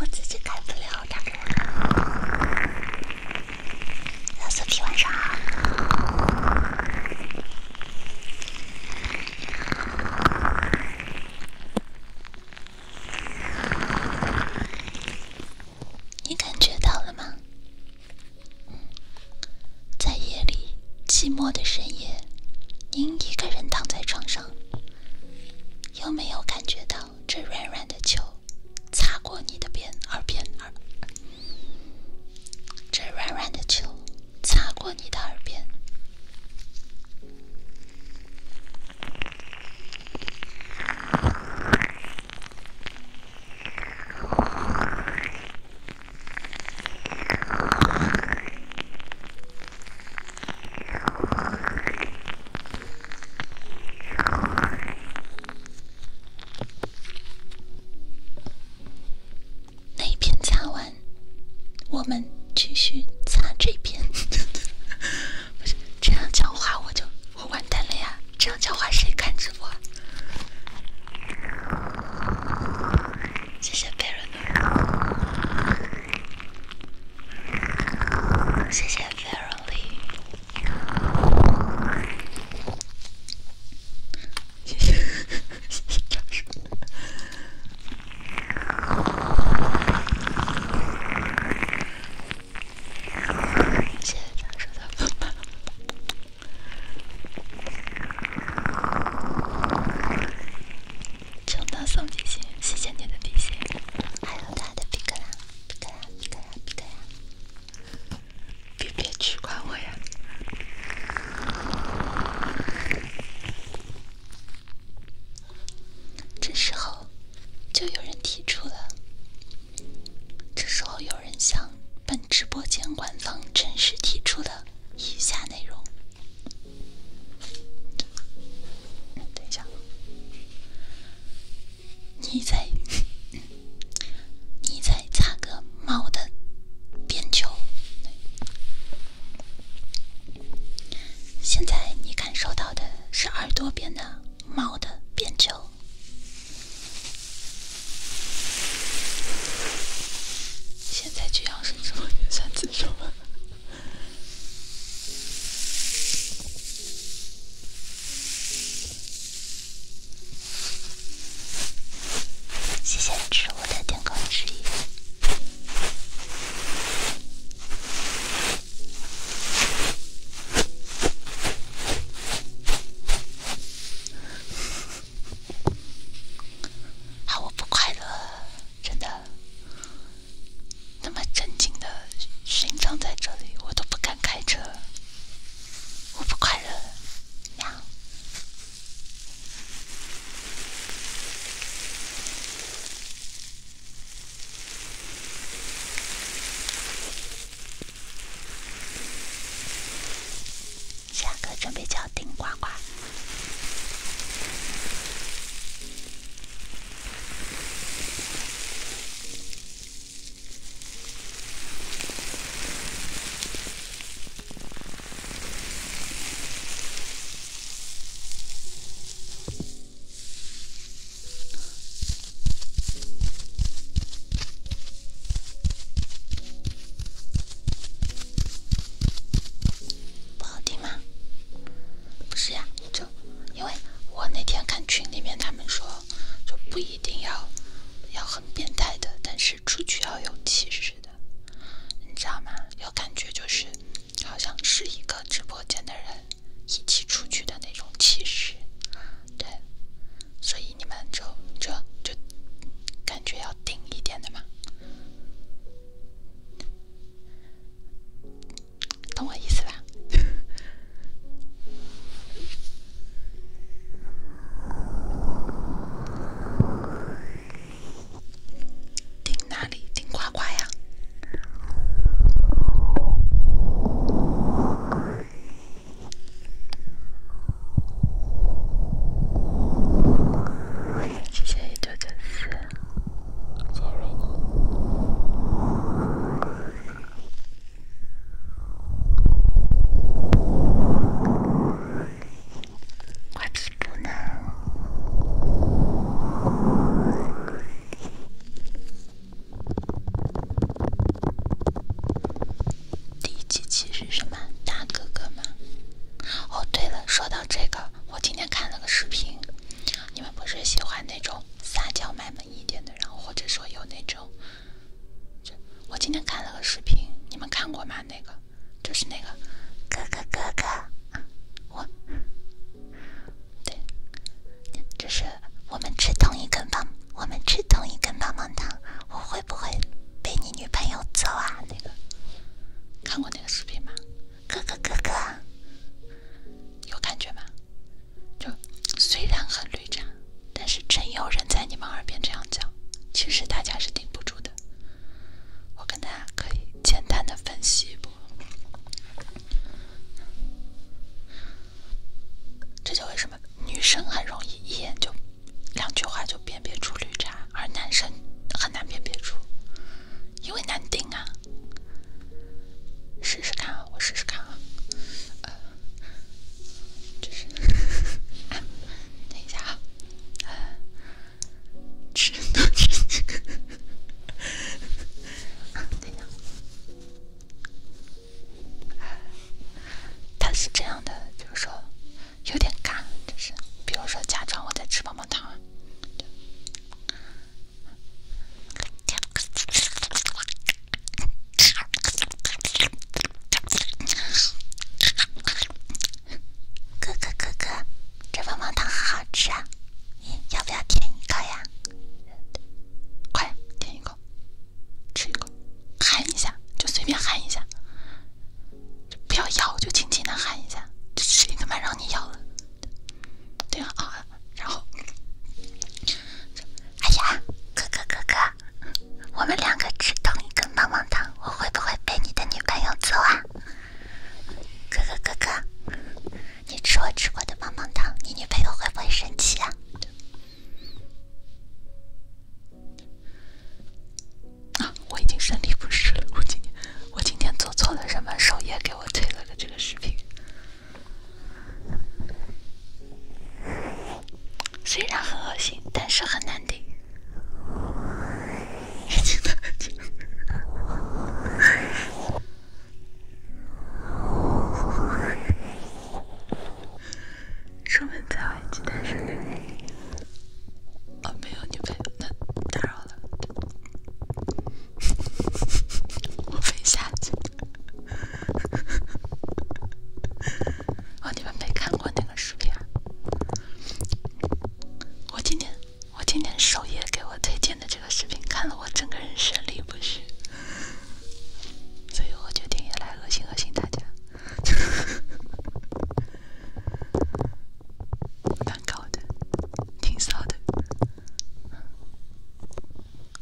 我自己开不了的。老四弟，晚上好。你感觉到了吗？在夜里寂寞的深夜，您一个人躺在床上，有没有感觉到？这软软的球擦过你的边耳边耳，这软软的球擦过你的耳边。那一篇擦完，我们继续擦这篇。不这样讲话我就我完蛋了呀！这样讲话谁看直播？谢谢贝 e r 谢谢 v e r l y 谢谢，谢谢大叔。谢谢大叔的风，收到送笔芯，谢谢你的笔芯，还有他的笔壳。别呀，别呀，别呀！别别取关我呀！这时候，就有人提出了。这时候有人向本直播间官方正式提出了以下内容。等一下。你在你在擦个猫的边球，现在你感受到的是耳朵边的猫的边球。现在就要生直播间三次手吗？谢谢植物的点歌之翼。好，我不快乐，真的。那么正经的勋章在这里，我都不敢开车。我不快乐。下课准备叫丁呱呱。不好听吗？不是呀，就因为我那天看群里面他们说。就不一定要要很变态的，但是出去要有气势的，你知道吗？要感觉就是好像是一个直播间的人一起出去的那种气势，对，所以你们就就就感觉要顶一点的嘛。懂我意思吧？顶哪里？顶夸夸呀！谢谢一九九四。我皮不呢？第一期是什么？大哥哥吗？哦，对了，说到这个，我今天看了个视频，你们不是喜欢那种撒娇卖萌一点的？然后或者说有那种，我今天看了个视频，你们看过吗？那个就是那个，哥哥哥哥，我，对，就是我们吃同一根棒，我们吃同一根棒棒糖，我会不会被你女朋友揍啊？那个看过那个视频吗？哥哥哥哥。有感觉吗？就虽然很绿茶，但是真有人在你们耳边这样讲，其实大家是顶不住的。我跟大家可以简单的分析一波，这就为什么女生很容易一眼就两句话就辨别出绿茶，而男生很难辨别出，因为难顶啊。试试看啊，我试试看啊。就是，等一下啊，吃东西。等一下，他是这样的，就说有点干，就是，比如说假装我在吃棒棒糖。哥哥哥哥，这棒棒糖很好吃啊！你要不要舔一口呀？快舔一口，吃一口，含一下，就随便含一下，不要咬，就轻轻的含一下。谁他妈让你咬了？对啊。然后，哎呀，哥哥哥哥，我们两个吃同一根棒棒糖，我会不会被你的女朋友揍啊？哥哥哥哥，你吃我吃过的棒棒糖，你女朋友会不会生气啊？啊，我已经身体不适了，我今天我今天做错了什么？首页给我推了个这个视频。虽然很恶心，但是很难听。出门在外，真的是……啊，没有你陪，那打扰了。*laughs* 我飞下去。*laughs* 哦，你们没看过那个视频？我今天，我今天首页给我推荐的这个视频，看了我整个人生理不适，所以我决定也来恶心恶心大家。*laughs* 蛮高的，挺骚的。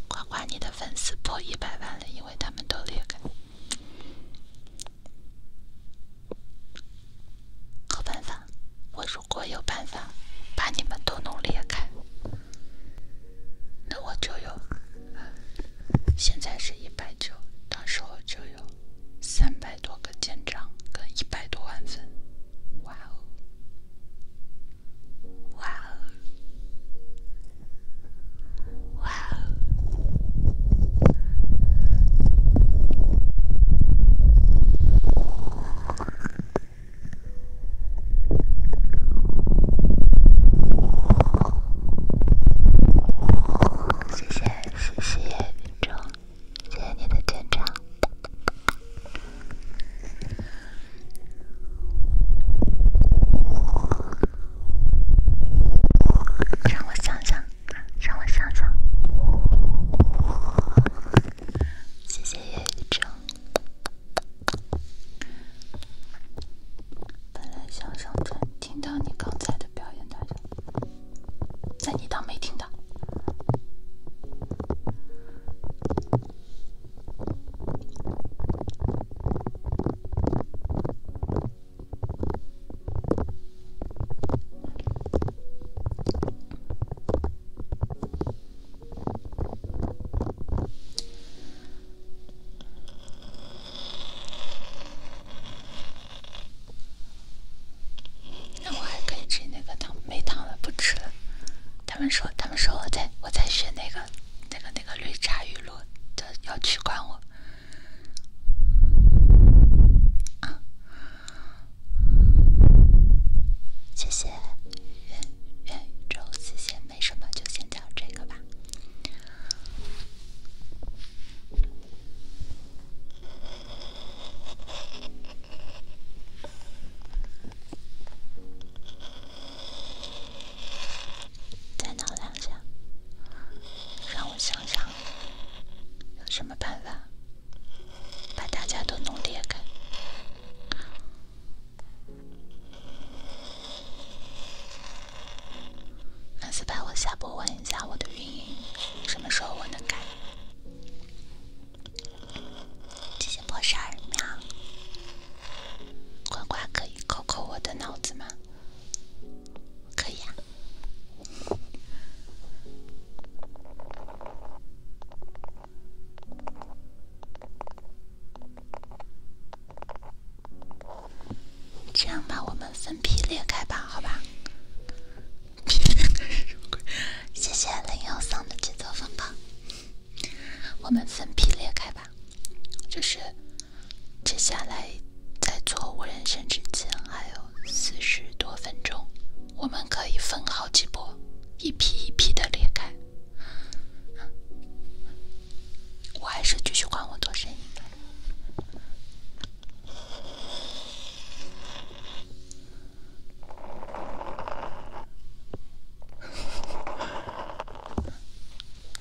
夸夸你的粉丝破一百万了，因为他们都裂开。好办法，我如果有办法把你们都弄裂开，那我就有。现在是一百九，到时候就有三百多个舰长跟一百多万粉。哇哦，哇哦。哇哦！谢谢，谢谢听众，谢谢你的见证。让我想想，让我想想。谢谢叶雨舟。本来想上车，听到你刚才的表演，大家，那你当没听到。那我还可以吃那个糖，没糖了，不吃了。他们说，他们说我在我在学那个那个。那个绿茶语录的要取关我谢谢远远宇宙，谢谢，没什么，就先讲这个吧。再挠两下，让我想想，有什么办法把大家都弄裂开？粉丝牌，我下播问一下我的运营，什么时候我能改？直播十二秒。瓜瓜，可以扣扣我的脑子吗？可以啊。这样吧，我们分批裂开吧，好吧？*laughs* 谢谢零幺三的节奏风暴。我们分批裂开吧，就是。接下来在做无人生之前还有四十多分钟，我们可以分好几波，一批一批的裂开。我还是继续管我做生意。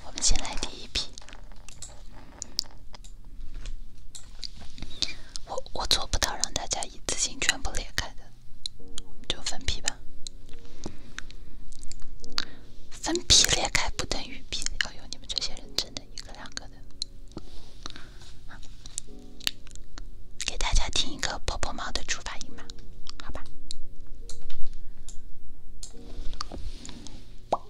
我们先来第一批，我我做不到让大家一次性全部裂开的，就分批吧。分批裂开不等于批，要有你们这些人真的一个两个的。给大家听一个波波猫的出发音吧，好吧。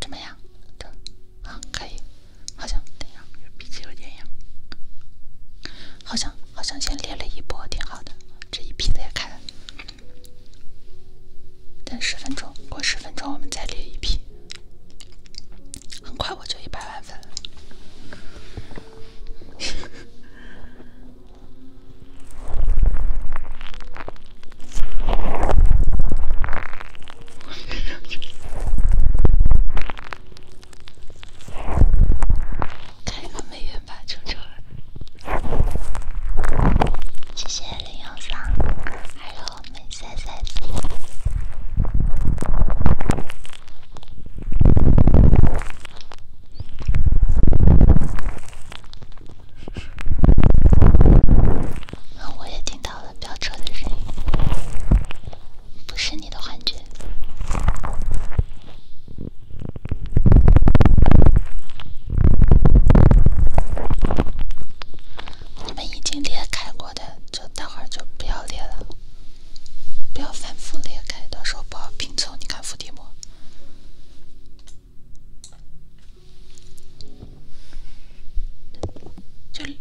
怎么样？这好，可以。好像，等一下，脾气有点痒。好像，好像先裂了一波，挺好的。这一批也开了。等十分钟，过十分钟我们再列一批。很快我就一百万粉 *laughs* 开个美元吧，臭臭。谢谢零幺三，还有美们赛赛。我也听到了飙车的声音，不是你的幻觉。你们已经裂开过的，就待会儿就不要裂了。不要反复裂开，到时候不好拼凑。你看伏地魔，就一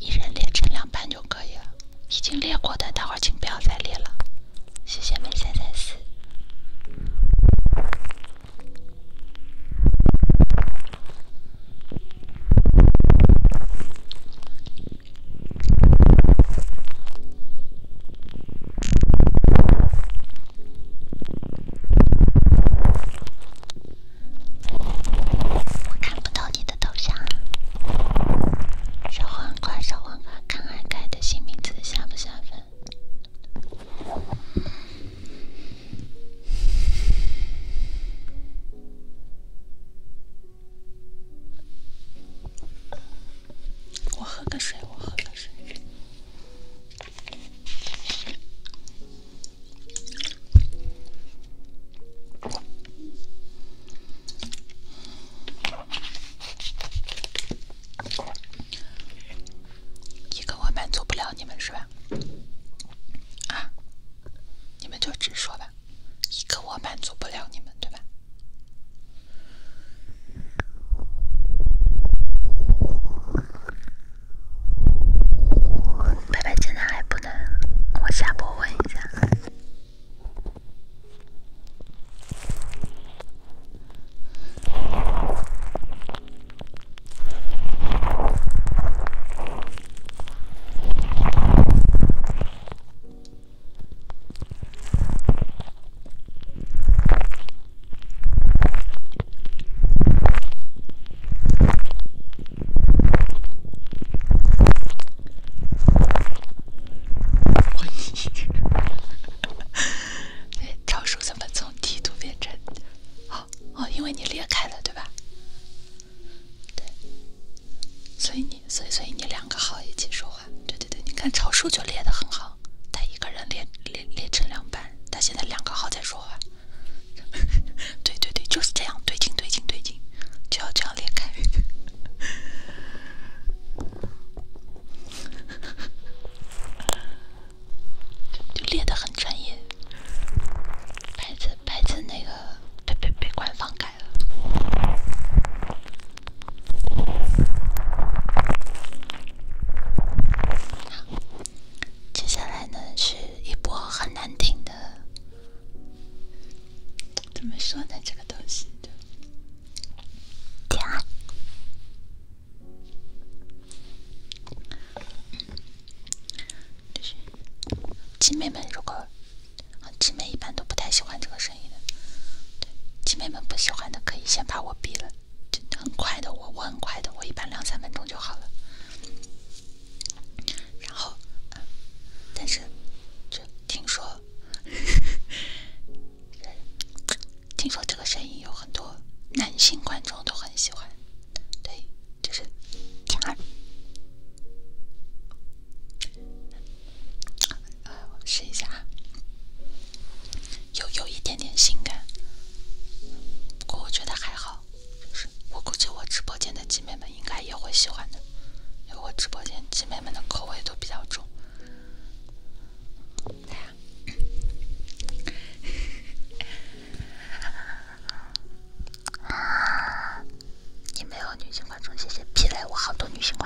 一人裂成两半就可以了。已经裂过的，待会儿请不要再裂了。谢谢，美三三四。我看不到你的头像啊，小黄瓜，小黄瓜，看看改的新名字下不下粉。我喝个水，我喝个水。一个我满足不了你们是吧？啊，你们就直说吧，一个我满足不了你们对吧？拜拜，现在还不能，我下播问一下。我一天，哎，超兽怎么从地图变成？哦哦，因为你裂开了，对吧？对，所以你。所以，所以你两个号一起说话，对对对，你看朝叔就列的很好，他一个人列列列成两半，他现在两个号在说话，*laughs* 对对对，就是这样，对劲对劲对劲，就要这样裂开，*laughs* 就裂的很专业，白子白子那个被被被官方改了。接下来呢，是一波很难听的。怎么说呢？这个东西的。对啊。就是姐妹们，如果啊，姐妹一般都不太喜欢这个声音的，姐妹们不喜欢的可以先把我闭了，真的很快的，我我很快的，我一般两三分钟就好了。然后，但是，就听说，*laughs* 听说这个声音有很多男性观众都很喜欢，对，就是。呃，试一下啊，有有一点点性感，不过我觉得还好，就是我估计我直播间的姐妹们应该也会喜欢的，因为我直播间姐妹们的口味都比较重。你 *laughs* 没有女性观众？谢谢皮雷，我好多女性观。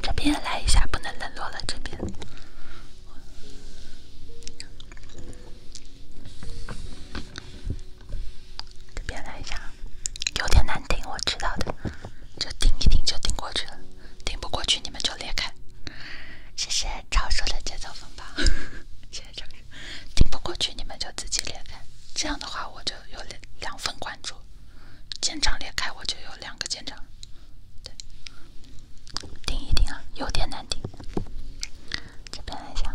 这边来一下，不能冷落了这边。这边来一下，有点难顶，我知道的，就顶一顶就顶过去了，顶不过去你们就裂开。谢谢超叔的节奏分吧，*laughs* 谢谢超叔。顶不过去你们就自己裂开，这样的话我就有两两份关注。肩长裂开，我就有两个肩长。对，顶一顶啊，有点难顶。这边来一下。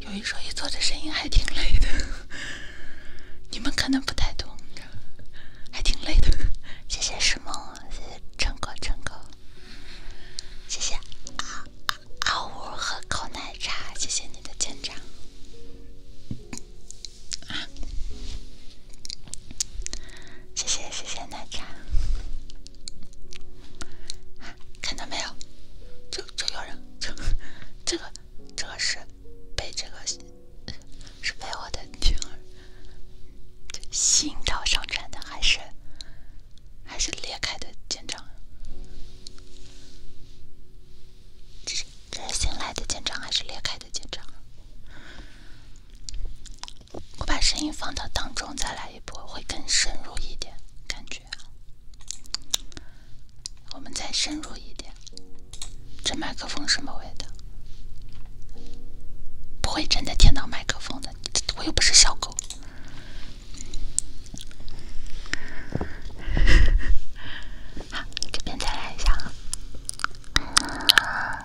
有一说一，做的声音还挺累的，你们可能不太懂，还挺累的。谢谢石梦，谢谢陈哥，陈哥，谢谢啊啊！阿五喝口奶茶，谢谢你的见证谢谢谢谢奶茶。看到没有？就就有人，这个，这个是被这个是被我的听吸引到上传的，还是还是裂开的肩章？这是新来的肩章还是裂开的肩章？我把声音放到当中再来一波，会更深入一点感觉。我们再深入一点，这麦克风什么味道？不会真的听到麦克风的，我又不是小狗。好，你这边再来一下啊。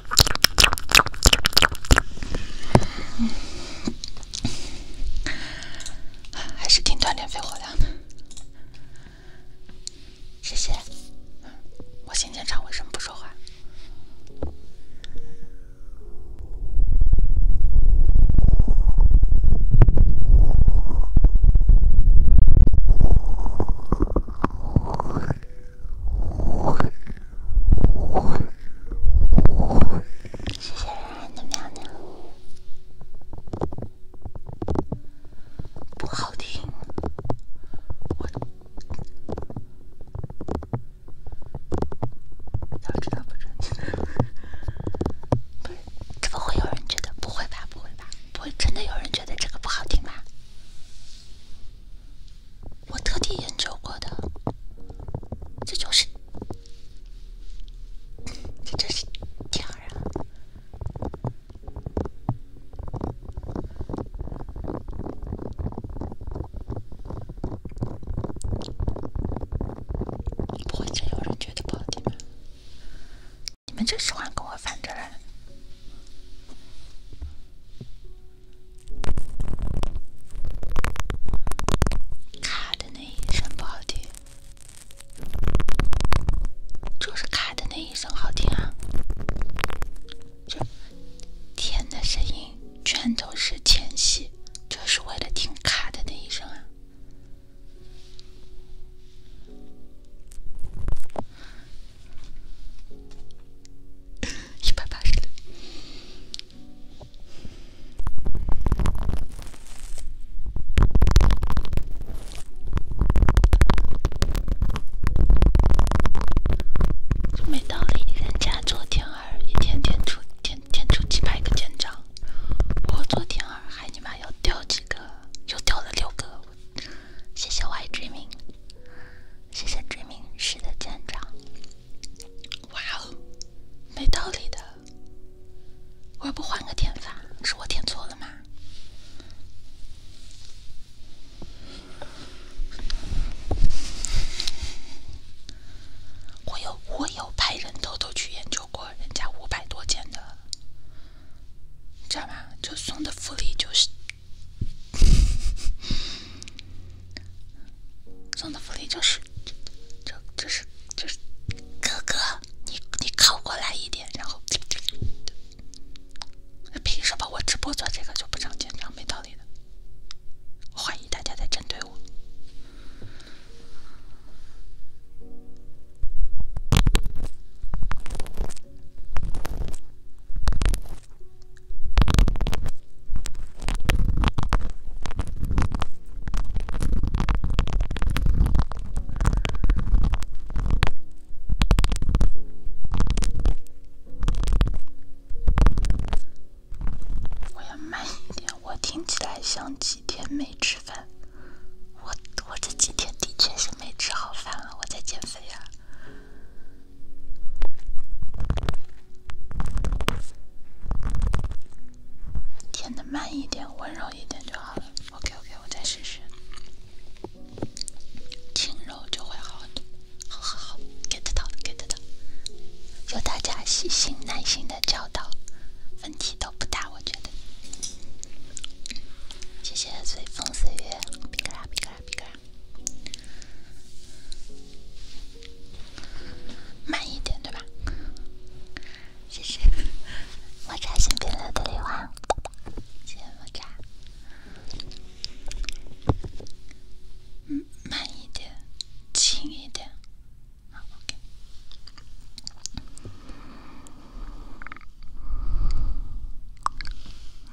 还是挺锻炼肺活量的，谢谢。我今天唱为什么不说话？谢谢人的喵喵，不好听。我要知道不准怎么会有人觉得？不会吧，不会吧，不会，真的有人觉得这个不好听吧？我特地研究过的，这就是，这就是天儿啊！不会真有人觉得不好听吧？你们就喜欢跟我反着来。卡的那一声不好听，就是卡的那一声好听啊！这天的声音全都是前戏，就是为了听卡的那一声啊！一百八十。没道理，人家做天二，一天天出天天出几百个舰长，我做天二还尼玛要掉几个，又掉了六个，谢谢我爱之谢谢追命师的舰长，哇哦，没道理的，我要不换个点法，是我点错了吗？我有我有派人偷偷去研究过人家五百多件的，知道吗？就送的福利就是。*laughs* 送的福利就是，就就是就是，哥哥，你你靠过来一点，然后凭什么我直播做这个就不长钱长？没道理的，我怀疑大家在针对我。我要慢一点，我听起来像几天没吃饭。我我这几天的确是没吃好饭了，我在减肥啊。填的慢一点，温柔一点就好了。OK OK，我再试试，轻柔就会好的。好，好，好，get 到的，get 到的。有大家细心耐心的教导，问题都不大，我觉得。谢谢随风随月，比个哈，比个哈，比拉。慢一点，对吧？谢谢，*laughs* 我扎新朋友的礼物，谢谢我扎。嗯，慢一点，轻一点，好，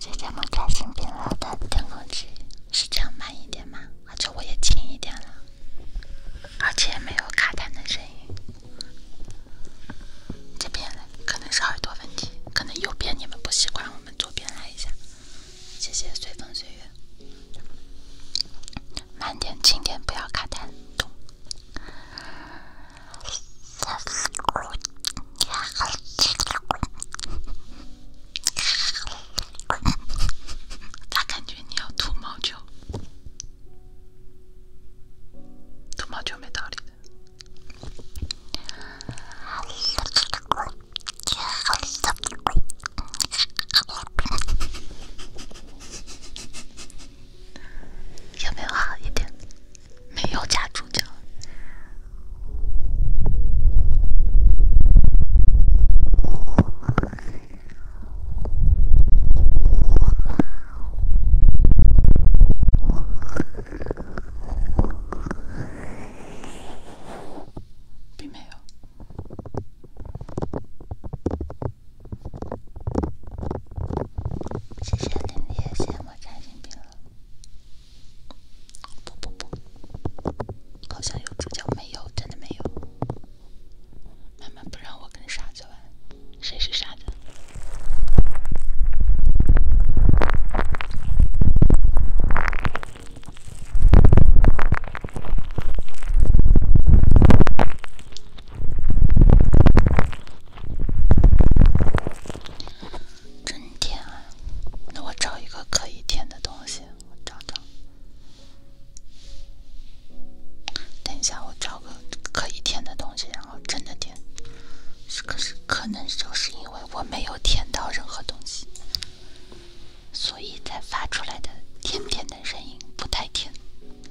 谢谢们，开心苹果的空之器，是这样慢一点吗？而且我也轻一点了，而且没有卡弹的声音。这边了，可能是耳朵问题，可能右边你们不习惯，我们左边来一下。谢谢随风随月，慢点轻点，不要卡弹。咋 *laughs* 感觉你要吐毛球？吐毛球没道理的。有没有好一点？没有加主角，并没有。谢谢林林，谢谢我加心病了。不不不，好像有主角没有，真的没有。妈妈不让我跟傻子玩，谁是傻子？真甜啊！那我找一个可以甜的东西，我找找。等一下，我找个可以甜的东西，然后真的甜。可是，可能就是因为我没有舔到任何东西，所以才发出来的甜甜的声音不太甜。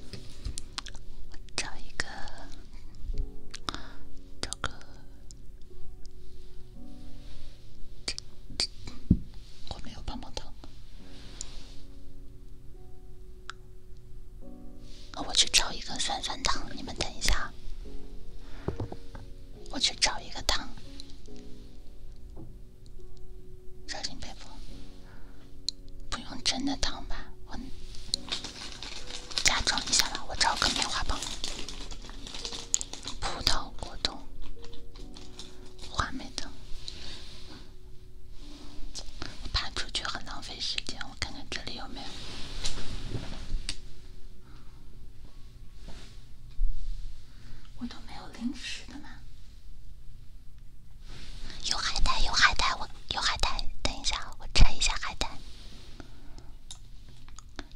我找一个，找个。我没有棒棒糖，我去找一个酸酸糖。你们等一下，我去找一个糖。小心被破，不用真的糖吧？我。假装一下吧，我找个棉花棒、葡萄果冻、花美的。我爬出去很浪费时间，我看看这里有没有。我都没有零食的吗？有海带，有海带，我有海带。等一下，我拆一下海带。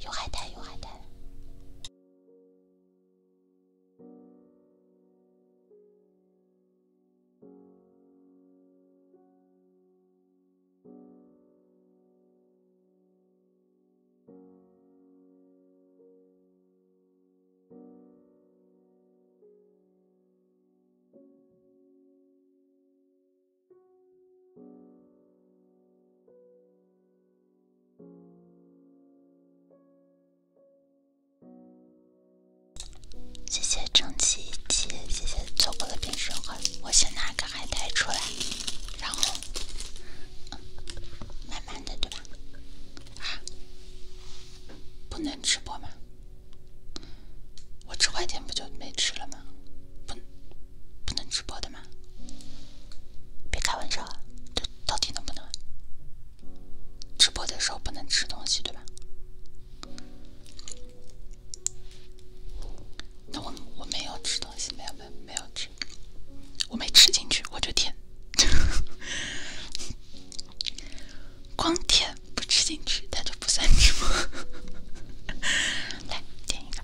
有海滩，有海滩。谢谢蒸汽机，谢谢做过的冰升华。我先拿个海苔出来，然后嗯、慢慢的，对吧？啊，不能吃播吗？我吃快点不就没吃了吗？不，不能直播的吗？别开玩笑啊！这到底能不能直播的时候不能吃东西，对吧？那我我没有吃东西，没有没没有吃，我没吃进去，我就舔，*laughs* 光舔不吃进去，它就不算直播。*laughs* 来，舔一个。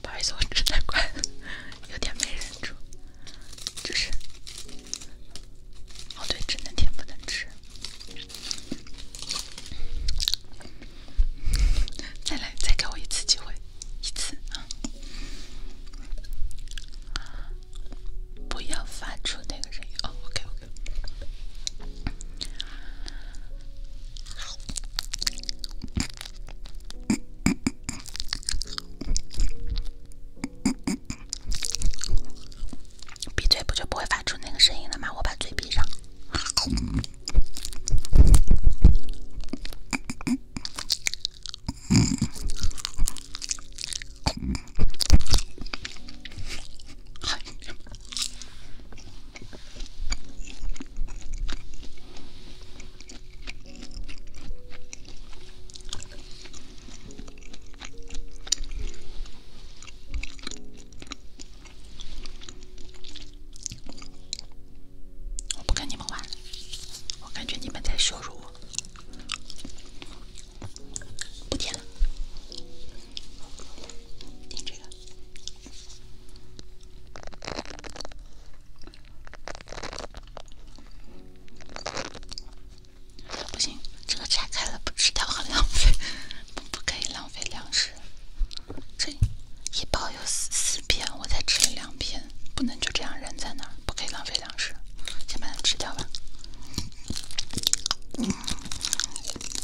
不好意思，我吃太快了，有点没忍住，就是……哦对，只能甜不能吃。再来，再给我一次机会，一次啊！不要发出那个声音哦，OK OK。闭嘴不就不会发出那个声音了吗？我把嘴闭上。我不跟你们玩，我感觉你们在羞辱我。不甜了，点这个不行，这个拆开了不吃掉很浪费，不可以浪费粮食。这一包有四四片，我才吃了两片，不能就这样扔在那儿，不可以浪费粮食，先把它吃掉吧。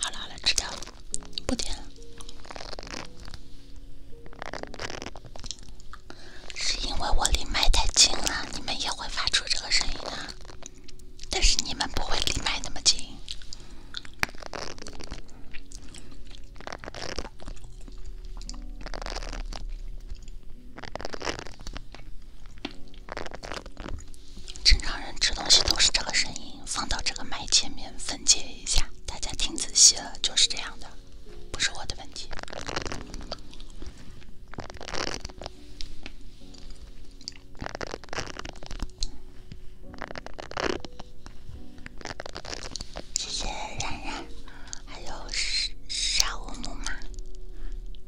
好了好了，吃掉，不点了。是因为我离麦太近了，你们也会发出这个声音的，但是你们不会离麦那么近。正常人吃东西都是这个声音，放到这个麦前面分解一下，大家听仔细了，就是这样的，不是我的问题。谢谢冉冉。还有沙沙乌木马，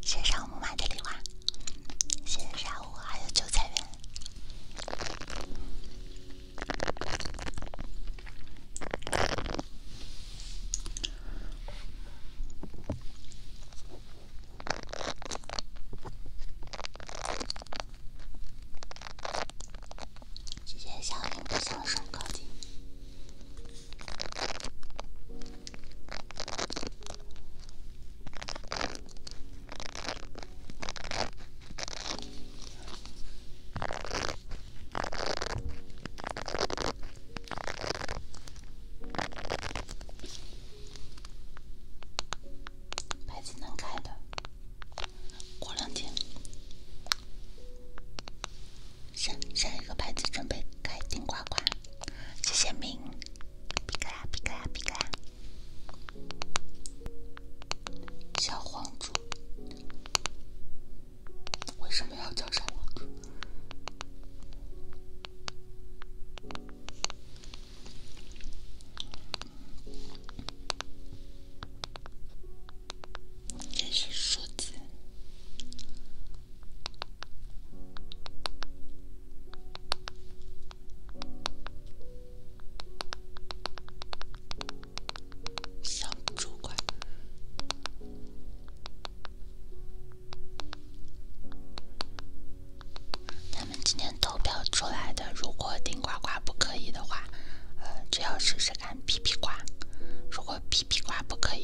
线上木马的礼物，线上乌，还有九彩云，谢谢小林的小手科牌子能开的，过两天。下下一个牌子准备开顶呱呱，谢谢明，皮卡皮卡皮卡，小黄猪为什么要叫小黄猪？*laughs* 这是数字。小主管，他们今天投票出来的。如果顶呱呱不可以的话，呃，只要试试看皮皮呱。如果皮皮呱不可以。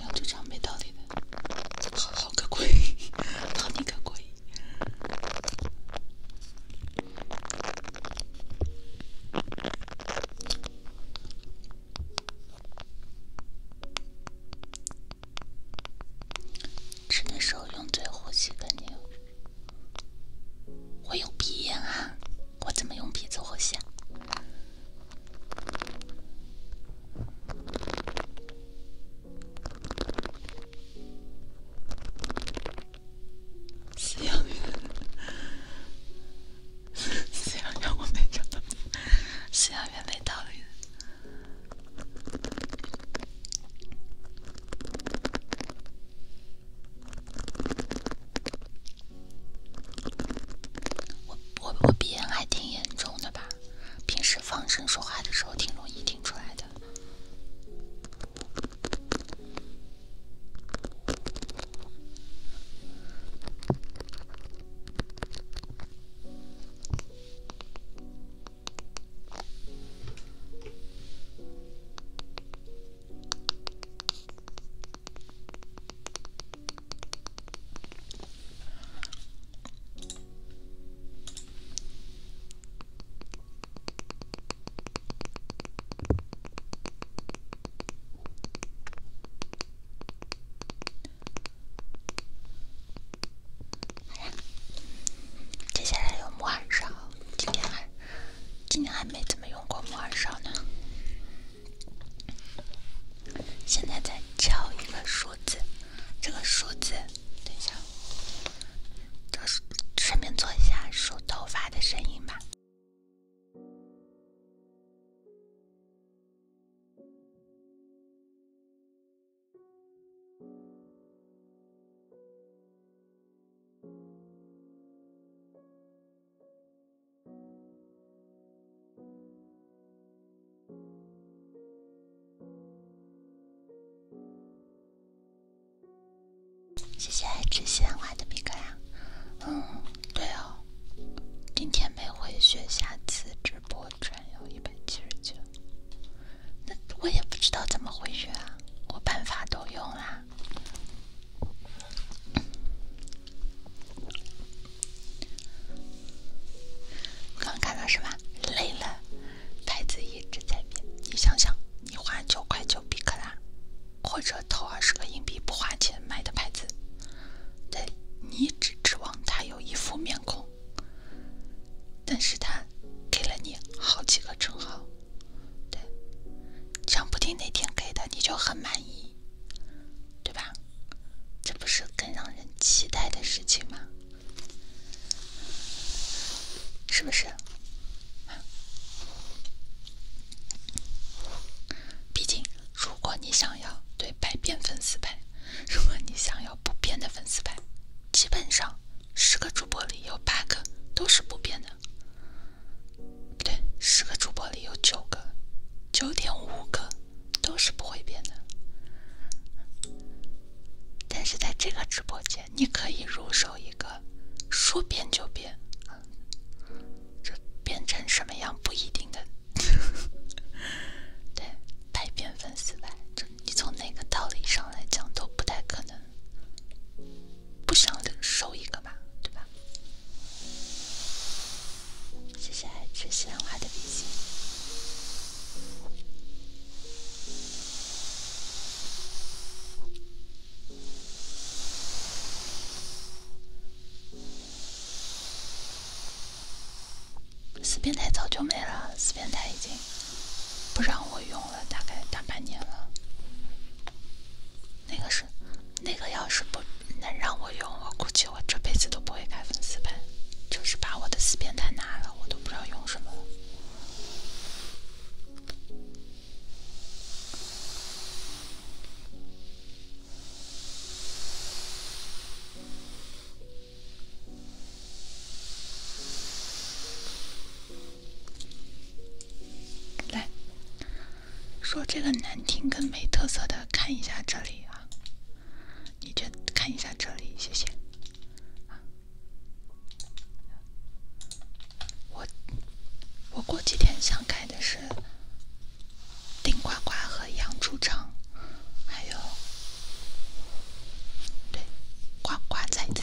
两只床没道理的，好可贵，好你可贵。吃的时候用嘴呼吸，跟你。我有鼻炎啊，我怎么用鼻子呼吸？*laughs* 我没找到，没道理。我我我鼻炎还挺严重的吧，平时放声说话的时候挺容易听出来的。好接下来有木有晚上几点？今天还没怎么用过木耳勺呢，现在在敲一个数字，这个数字，等一下，这顺便做一下梳头发的声音吧。谢谢爱吃鲜花的笔呀。嗯，对哦，今天没回血，下次直播转有一百七十九，那我也不知道怎么回血啊，我办法都用啦。刚看到是吧？累了，牌子一直在变。你想想，你花九块九币克拉，或者投二十个硬币不花钱买的牌子，对，你只指望他有一副面孔，但是他给了你好几个称号，对，想不听哪天给的你就很满意。对吧？这不是更让人期待的事情吗？是不是？毕竟，如果你想要对百变粉丝牌，如果你想要不变的粉丝牌，基本上十个主播里有八个都是不变的。不对，十个主播里有九个，九点五个都是不会变的。但是在这个直播间，你可以入手一个，说变就变，这变成什么样不一定的。对，百变粉丝吧，就你从哪个道理上来讲都不太可能。不想的收一个吧，对吧？谢谢爱吃西兰花的比心。四边台早就没了，四边台已经不让我用了，大概大半年了。那个是，那个要是不能让我用，我估计我这辈子都不会开粉丝牌，就是把我的四变态拿了，我都不知道用什么了。来。说这个难听跟没特色的，看一下这里啊，你这看一下这里，谢谢啊。我我过几天想开的是丁呱呱和杨猪肠，还有对呱呱崽子。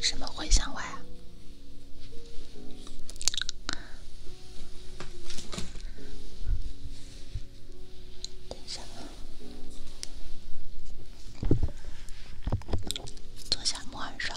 什么会响外啊？等一下，坐下木板上，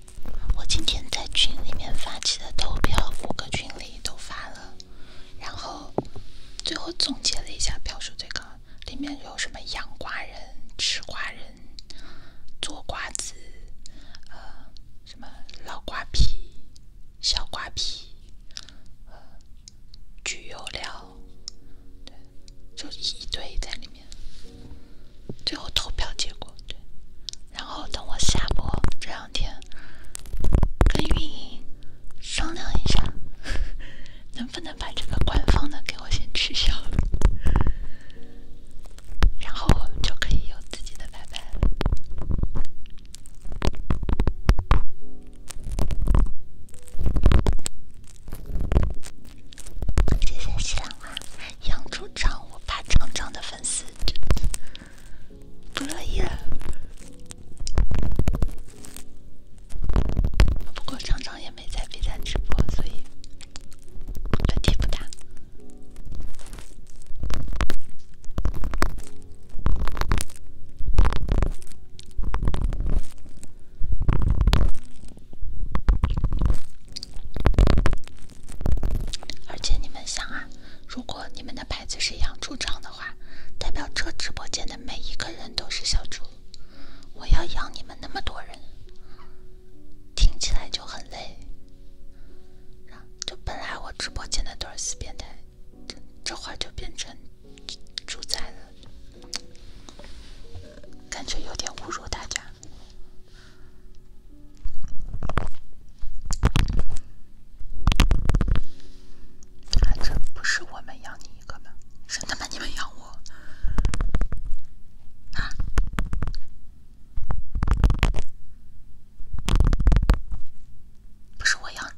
我今天在群里面发起的投票，五个群里都发了，然后最后总结了一下，票数最高。里面有什么养瓜人、吃瓜人、做瓜子，呃，什么老瓜皮、小瓜皮，呃，聚油料，对，就一堆在里面。最后投票结果对，然后等我下播这两天跟运营商量一下，*laughs* 能不能把这个官方的给我先取消，然后我们就可以有自己的拜拜。了。谢谢喜狼啊，养猪长，我爸厂长的粉丝。不乐意了，不过厂长也没在比赛直播，所以问题不大。而且你们想啊，如果你们的牌子是养猪场的话，代表这直播间的每一个人都是小猪。我要养你们那么多人，听起来就很累。就本来我直播间的都是死变态，这会儿就变成猪猪仔了，感觉有点侮辱大家。还真不是我们养你一个吗？是他们你们养我？不是我养，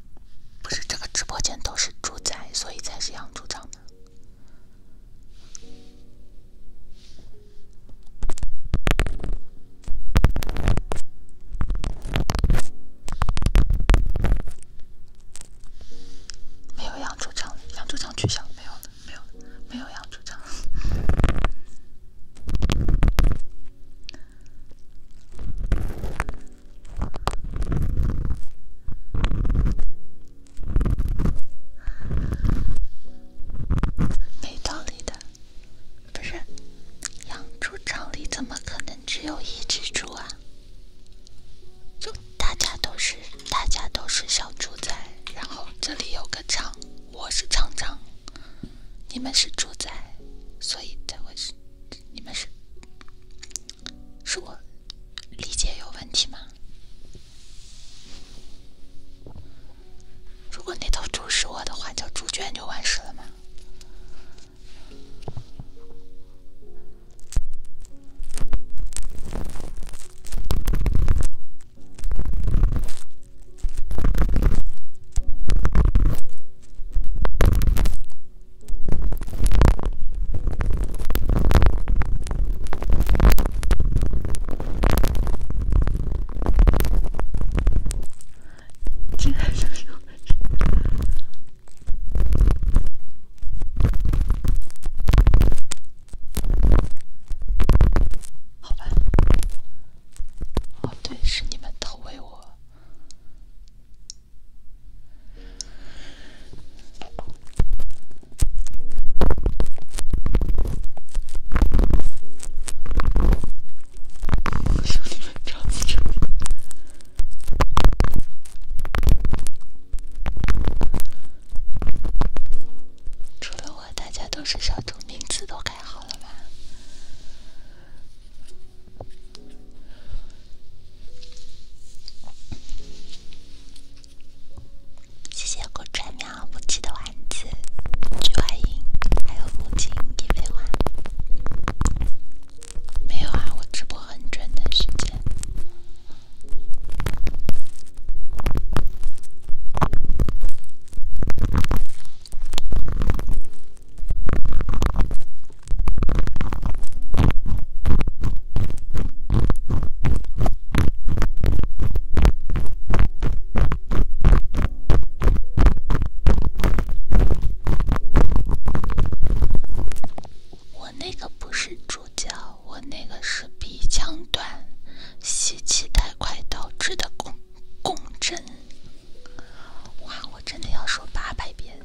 不是这个直播间都是猪仔，所以才是养猪场吗？没有养猪场，养猪场取消，没有了，没有了，没有养猪场，没道理的。不是养猪场里怎么可能只有一只猪啊？就大家都是大家都是小猪仔，然后这里有个厂，我是厂长，你们是猪仔，所以才会是你们是，是我理解有问题吗？如果那头猪是我的话，叫猪圈就完事了吗？进来就是我们是，好吧？哦，对，是你们投喂我。*laughs* 除了我，大家都是小猪，名字都改好了吧？谢谢狗爪喵。不弃的丸子、菊花银，还有木槿、地飞花，没有啊？我直播很准的时间。我那个不是助教，我那个是鼻腔短，吸气太快导致的共振。哇，我真的要说八百遍！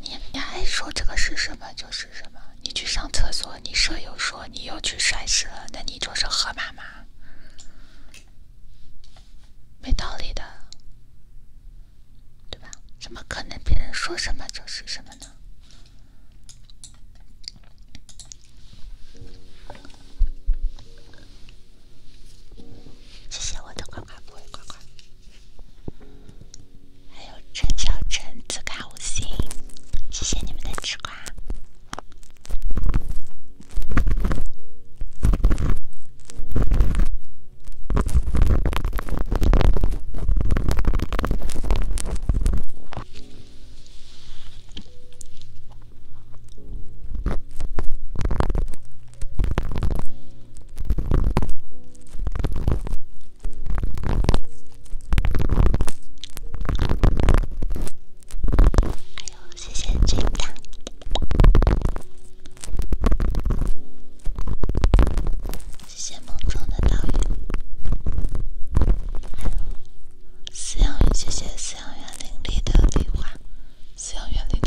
你你还说这个是什么就是什么？你去上厕所，你舍友说你又去摔车，了，那你就是河马吗？没道理的，对吧？怎么可能别人说什么就是什么呢？谢谢我的乖乖，不会乖乖。还有陈小陈，自卡五星，谢谢你们的吃瓜。哎呦，谢谢金糖，谢谢梦中的岛屿，还有饲养员姐姐，饲养员林立的壁画，饲养员林立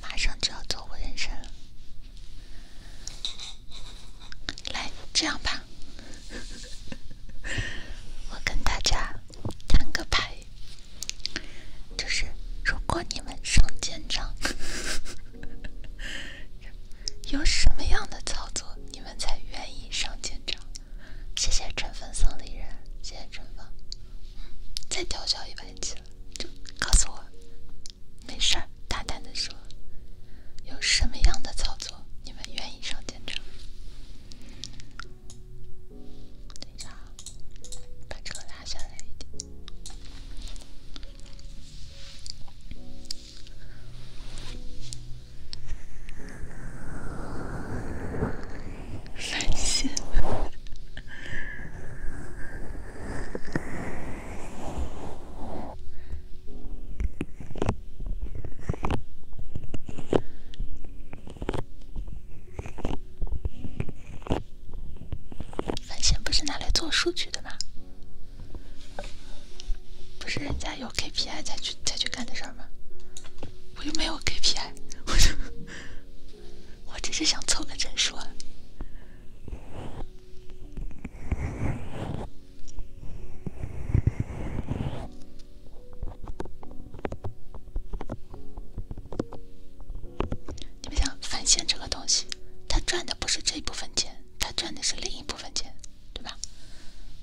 马上就要走过人生了。来，这样吧，我跟大家摊个牌，就是如果你们上舰长，有什么样的操作，你们才愿意上舰长？谢谢春风送丽人，谢谢春风。再调交一百级了，就告诉我，没事儿，大胆的说，有什么样的操作，你们愿意上战场？等一下，啊，把车拉下来一点。反线？反线不是拿来做数据的吗？不是人家有。KPI 再去再去干的事儿吗？我又没有 KPI，我就我只是想凑个整数。你们想，返现这个东西，他赚的不是这一部分钱，他赚的是另一部分钱，对吧？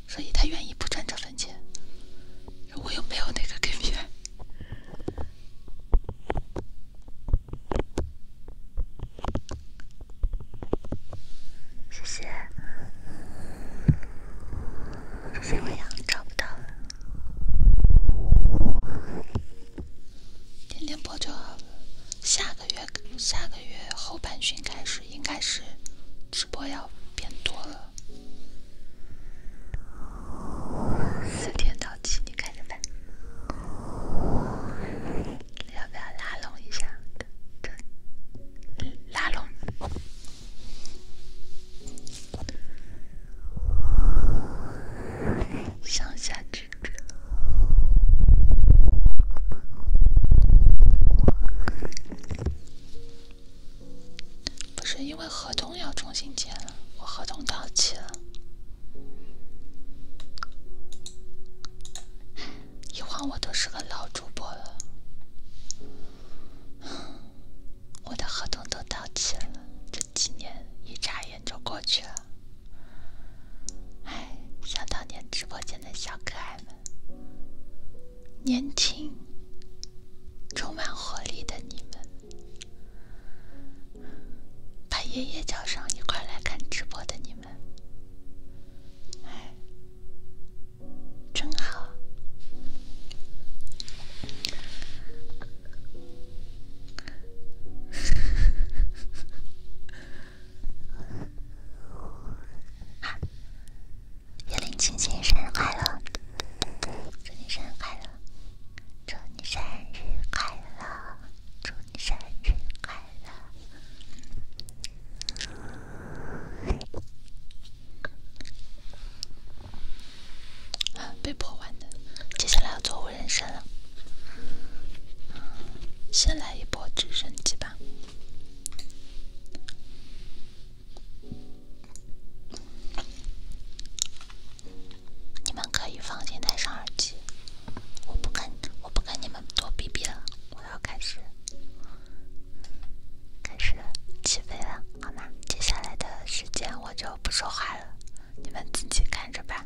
所以，他愿意不赚这份钱。我又没有那个 KPI。谢谢。小么样？找不到了，天天播就好了。下个月下个月后半旬开始应该是。直播要变多了，四点到期，你看着办。要不要拉拢一下？拉拢，向下之别。不是因为合同要重新签了，我合同到期了。一晃我都是个老主播了，我的合同都到期了，这几年一眨眼就过去了。哎，想当年直播间的小可爱们。年轻、充满活力的你们，把爷爷叫上一块来看直播的你们，哎，真好！*laughs* 叶林青青，生日快乐！祝你生日快乐！祝你生日快乐！祝你生日快乐！啊，被迫玩的，接下来要做无人生了。先来一波直升机吧。你们可以放心戴上耳机，我不跟我不跟你们多逼逼了，我要开始，开始起飞了，好吗？接下来的时间我就不说话了，你们自己看着办。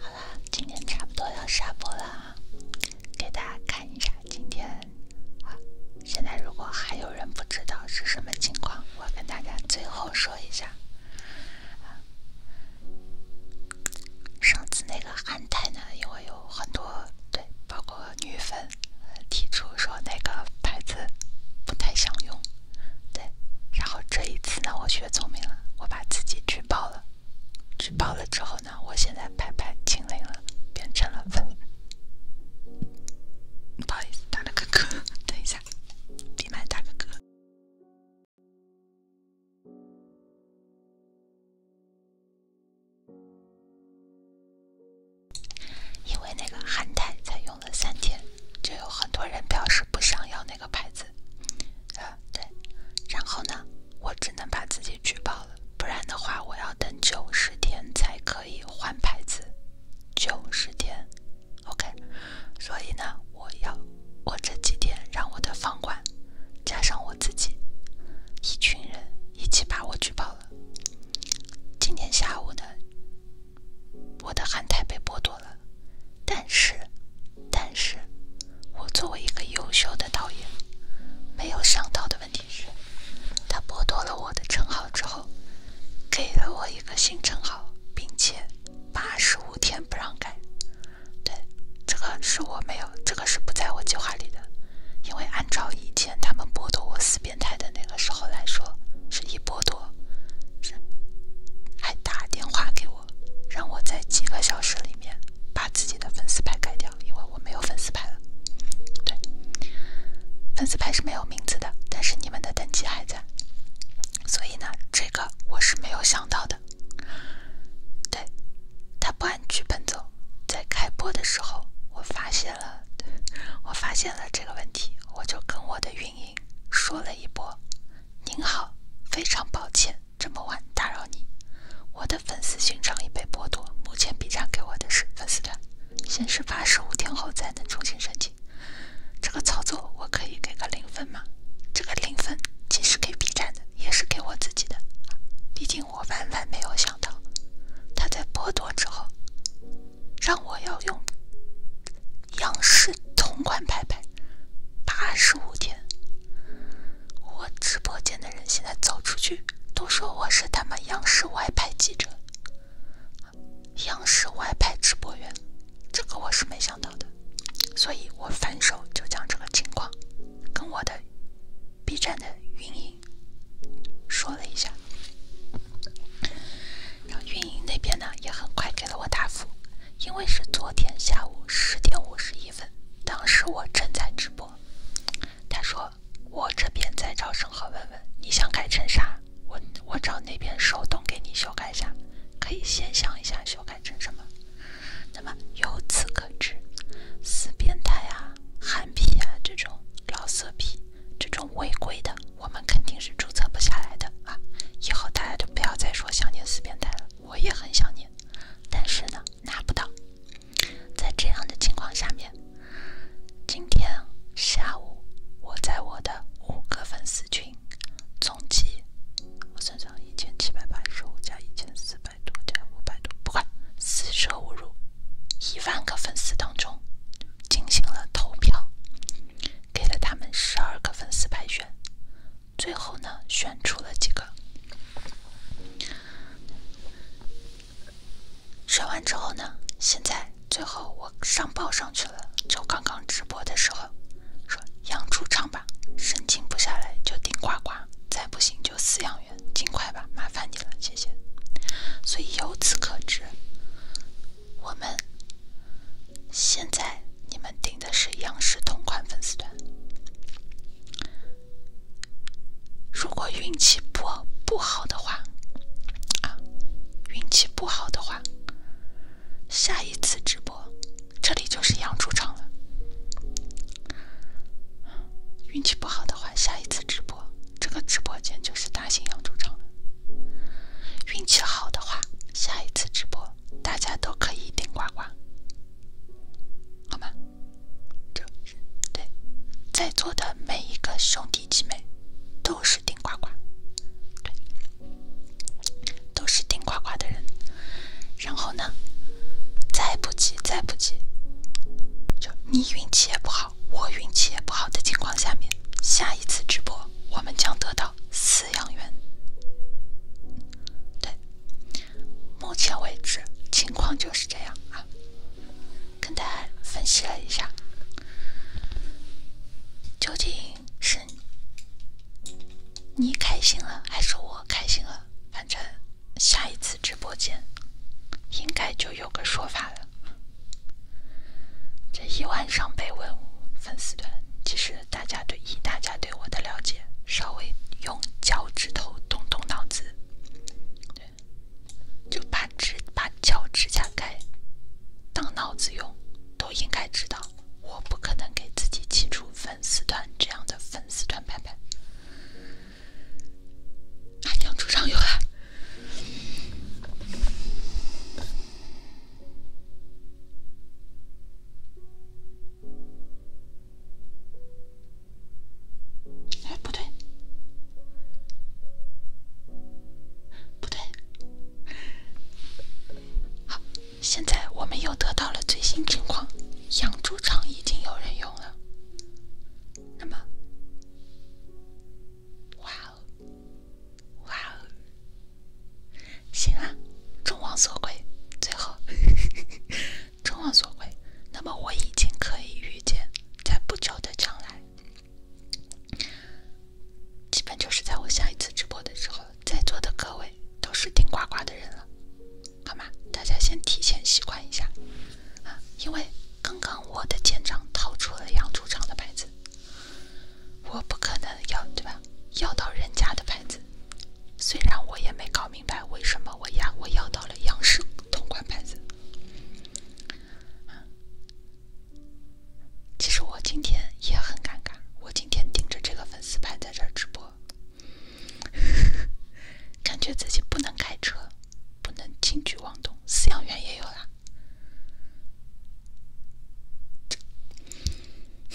好啦，今天差不多要下播啦。给大家看一下，今天啊，现在如果还有人不知道是什么情况，我跟大家最后说一下。上次那个憨态呢，因为有很多对，包括女粉提出说那个牌子不太想用，对，然后这一次呢，我学聪明了，我把自己举报了。举报了之后呢？我现在拍拍清零了，变成了粉。不好意思，打了个嗝。等一下，闭麦打个嗝。因为那个韩泰才用了三天，就有很多人表示不想要那个牌子。啊，对。然后呢？我只能把自己举报了，不然的话，我要等九十天才可以换牌子。九十天，OK。所以呢，我要我这几天让我的房管加上我自己，一群人一起把我举报了。今天下午呢，我的憨态被剥夺了，但是，但是。我作为一个优秀的导演，没有上道的问题是，他剥夺了我的称号之后，给了我一个新称号，并且八十五天不让改。对，这个是我没有，这个是不在我计划里的。因为按照以前他们剥夺我死变态的那个时候来说，是一剥夺，是还打电话给我，让我在几个小时里面把自己的粉丝牌改掉。因为我没有粉丝牌了，对，粉丝牌是没有名字的，但是你们的等级还在，所以呢，这个我是没有想到的。对，他不按剧本走，在开播的时候，我发现了，*laughs* 我发现了这个问题，我就跟我的运营说了一波：“您好，非常抱歉。”这么晚打扰你，我的粉丝勋章已被剥夺，目前 B 站给我的是粉丝团，显示八十五天后才能重新申请。这个操作我可以给个零分吗？这个零分既是给 B 站的，也是给我自己的。毕竟我万万没有想到，他在剥夺之后，让我要用央视同款拍拍八十五天。我直播间的人现在走出去，都说我是他妈央视外派记者、央视外派直播员，这个我是没想到的，所以我反手就将这个情况跟我的 B 站的运营说了一下，然后运营那边呢也很快给了我答复，因为是昨天下午十点五十一分，当时我正在直播。他说：“我这边在找审核问问，你想改成啥？我我找那边手动给你修改一下。可以先想一下修改成什么。那么由此可知，死变态啊、憨批啊这种老色批，这种违规的，我们肯定是注册不下来的啊。以后大家就不要再说想念死变态了，我也很想念，但是呢，拿不到。”在这样的情况下面，今天下午我在我的五个粉丝群，总计我算上一千七百八十五加一千四百多加五百多，不管，四舍五入，一万个粉丝当中进行了投票，给了他们十二个粉丝排选，最后呢选出了几个。选完之后呢？现在最后我上报上去了，就刚刚直播的时候说养猪场吧，申请不下来就顶呱呱，再不行就饲养员，尽快吧，麻烦你了，谢谢。所以由此可知，我们现在你们顶的是央视同款粉丝团。如果运气不不好的话，啊，运气不好的话，下一次直播这里就是养猪场了。运气不好的话，下一次直播这个直播间就是大型养猪场了。运气好的话，下一次直播大家都可以顶呱呱，好吗？就对，在座的每一个兄弟姐妹都是顶呱呱，对，都是顶呱呱的人。然后呢，再不济，再不济，就你运气也不好，我运气也不好的情况下面，下一次直播我们将得到饲养员。对，目前为止情况就是这样啊。跟大家分析了一下，究竟是你开心了还是我开心了？反正下一次直播间应该就有个说法了。这一万上百万粉丝团，其实大家对以大家对我的了解，稍微用脚趾头动动脑子。就把指把脚指甲盖当脑子用，都应该知道，我不可能给自己起出粉丝团这样的粉丝团牌牌。海洋桌上游啊！哎，不对，不对。好，现在我们又得到了最新情况，养猪场已经有人用了。那么，哇哦，哇哦，行啊，众望所归，最后。众望所归，那么我已经可以预见，在不久的将来，基本就是在我下一次直播的时候，在座的各位都是顶呱呱的人了，好吗？大家先提前习惯一下啊，因为刚刚我的舰长掏出了养猪场的牌子，我不可能要对吧？要到人家的牌子，虽然我也没搞明白为什么我要我要到了央视同款牌子。其实我今天也很尴尬，我今天盯着这个粉丝牌在这儿直播，*laughs* 感觉自己不能开车，不能轻举妄动。饲养员也有啦，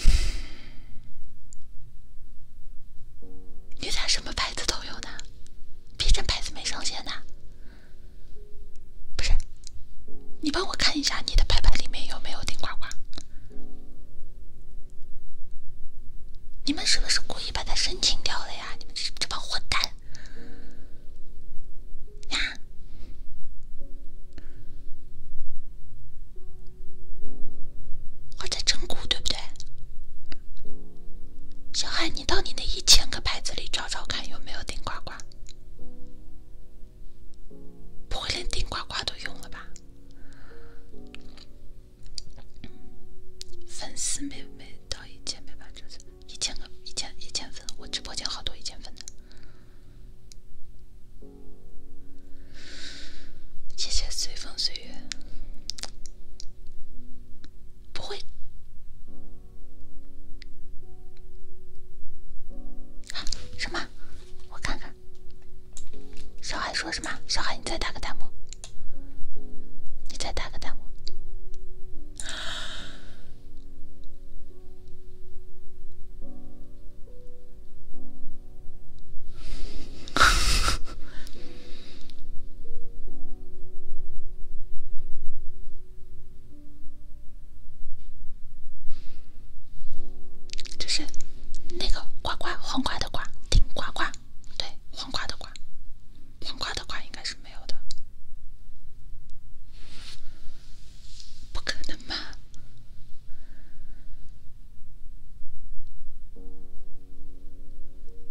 *laughs* 你咋什么牌子都有呢？别这牌子没上线呢，不是，你帮我看一下你的牌牌里面有没有顶呱呱？你们是不是故意把它申请掉了呀？你们这这帮混蛋！呀，我在整蛊，对不对？小海，你到你那一千个牌子里找找看有没有顶呱呱，不会连顶呱呱都用了吧？粉丝没没到一千没吧？这是一千个一千一千粉，我直播间好多一千粉的，谢谢随风岁月。不会，什么？我看看，小海说什么？小海，你再打个弹幕，你再打个弹幕。*laughs* 就是那个“呱呱黄瓜的“瓜”，顶“呱呱，对，黄瓜的“瓜”，黄瓜的“瓜”应该是没有的，不可能吧？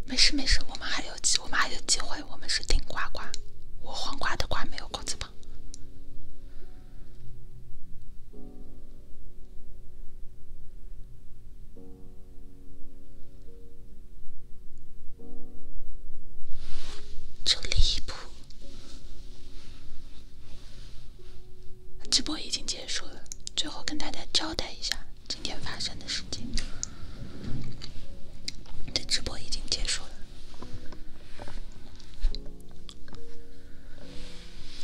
没事没事，我们还有，机，我们还有机会。我们是顶呱呱，我黄瓜的瓜没有口字旁。这里谱。直播已经结束了，最后跟大家交代一下。今天发生的事情的直播已经结束了。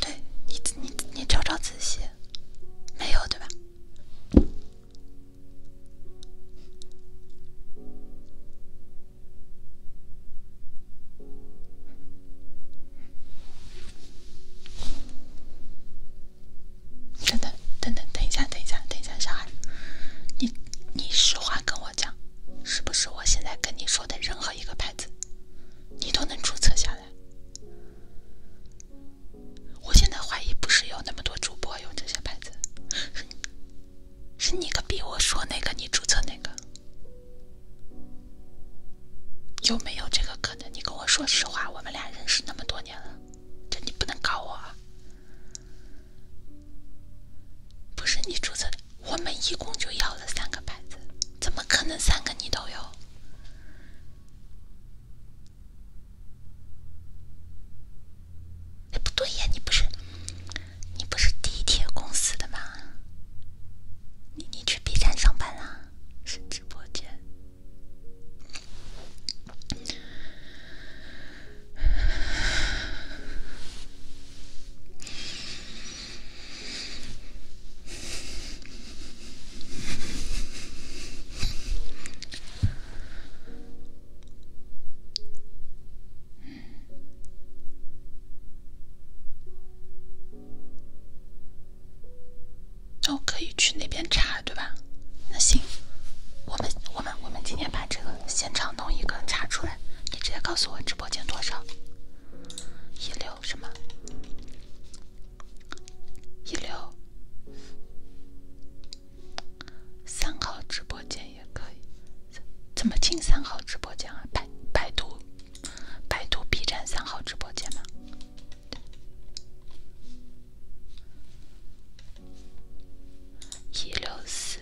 对你，你，你，找找仔细，没有对吧？等等等等等一下等一下等一下，小孩，你你实话跟我讲，是不是我现在跟你说的任何一个牌子，你都能注册下来？我现在怀疑不是有那么多主播用这些牌子，是你个逼我说那个，你注册那个，有没有这个可能？你跟我说实话，我们俩认识那么多年了。这你不能搞我，啊，不是你注册的。我们一共就要了三个牌子，怎么可能三个你都有？哎，不对呀，你不是你不是地铁公司的吗？你你去 B 站上班啦？是直播间。都可以去那边查，对吧？那行，我们我们我们今天把这个现场弄一个查出来，你直接告诉我直播间多少？一六什么？一六三号直播间也可以。怎么进三号直播间啊？百百度百度 B 站三号直播间吗？一六四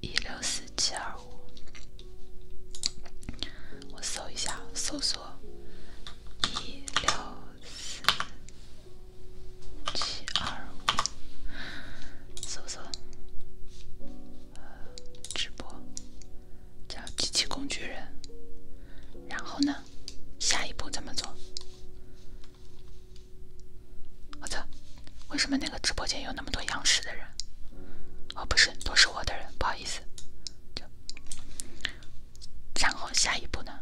一六四七二五，我搜一下，搜索一六四七二五，搜索直播叫机器工具人，然后呢，下一步怎么做？我操！为什么那个直播间有那么多央视的人？哦，不是，都是我的人，不好意思。然后下一步呢？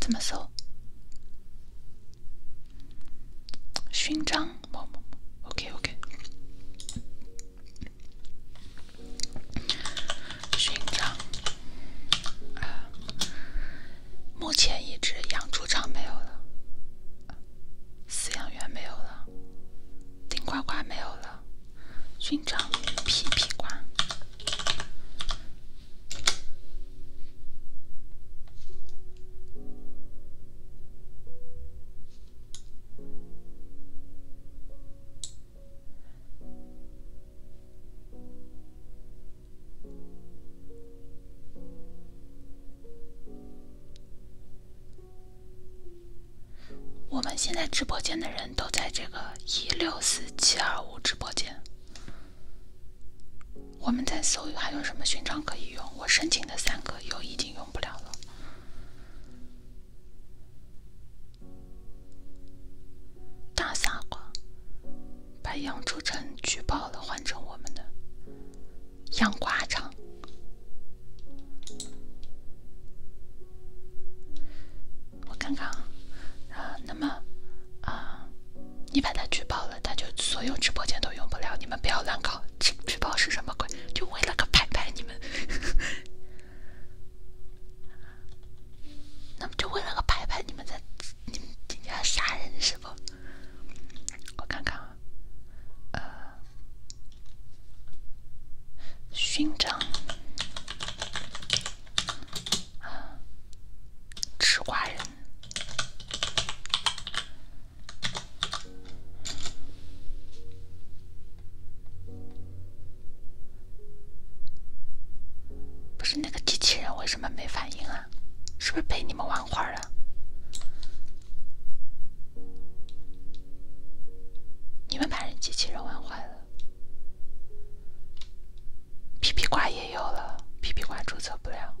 怎么搜？勋章？某某某 o k OK。寻章啊！目前一只养猪场没有了，饲养员没有了，顶呱呱没有了，寻章皮皮呱。*laughs* 我们现在直播间的人都在这个一六四七二五直播间。我们在搜还有什么勋章可以用？我申请的三个又已经用不了了。大傻瓜，把杨州晨举报了，换成我们的杨瓜城。我看看啊，那么啊，你把他举报了，他就所有直播间都用不了。你们不要乱搞，举报是什么鬼？就为了个牌牌，你们。*laughs* 那么就为了个牌牌，你们在你们要杀人是不？我看看啊，呃，勋章吃瓜人。不是那个机器人为什么没反应啊？是不是被你们玩坏了？你们把人机器人玩坏了？皮皮瓜也有了，皮皮瓜注册不了。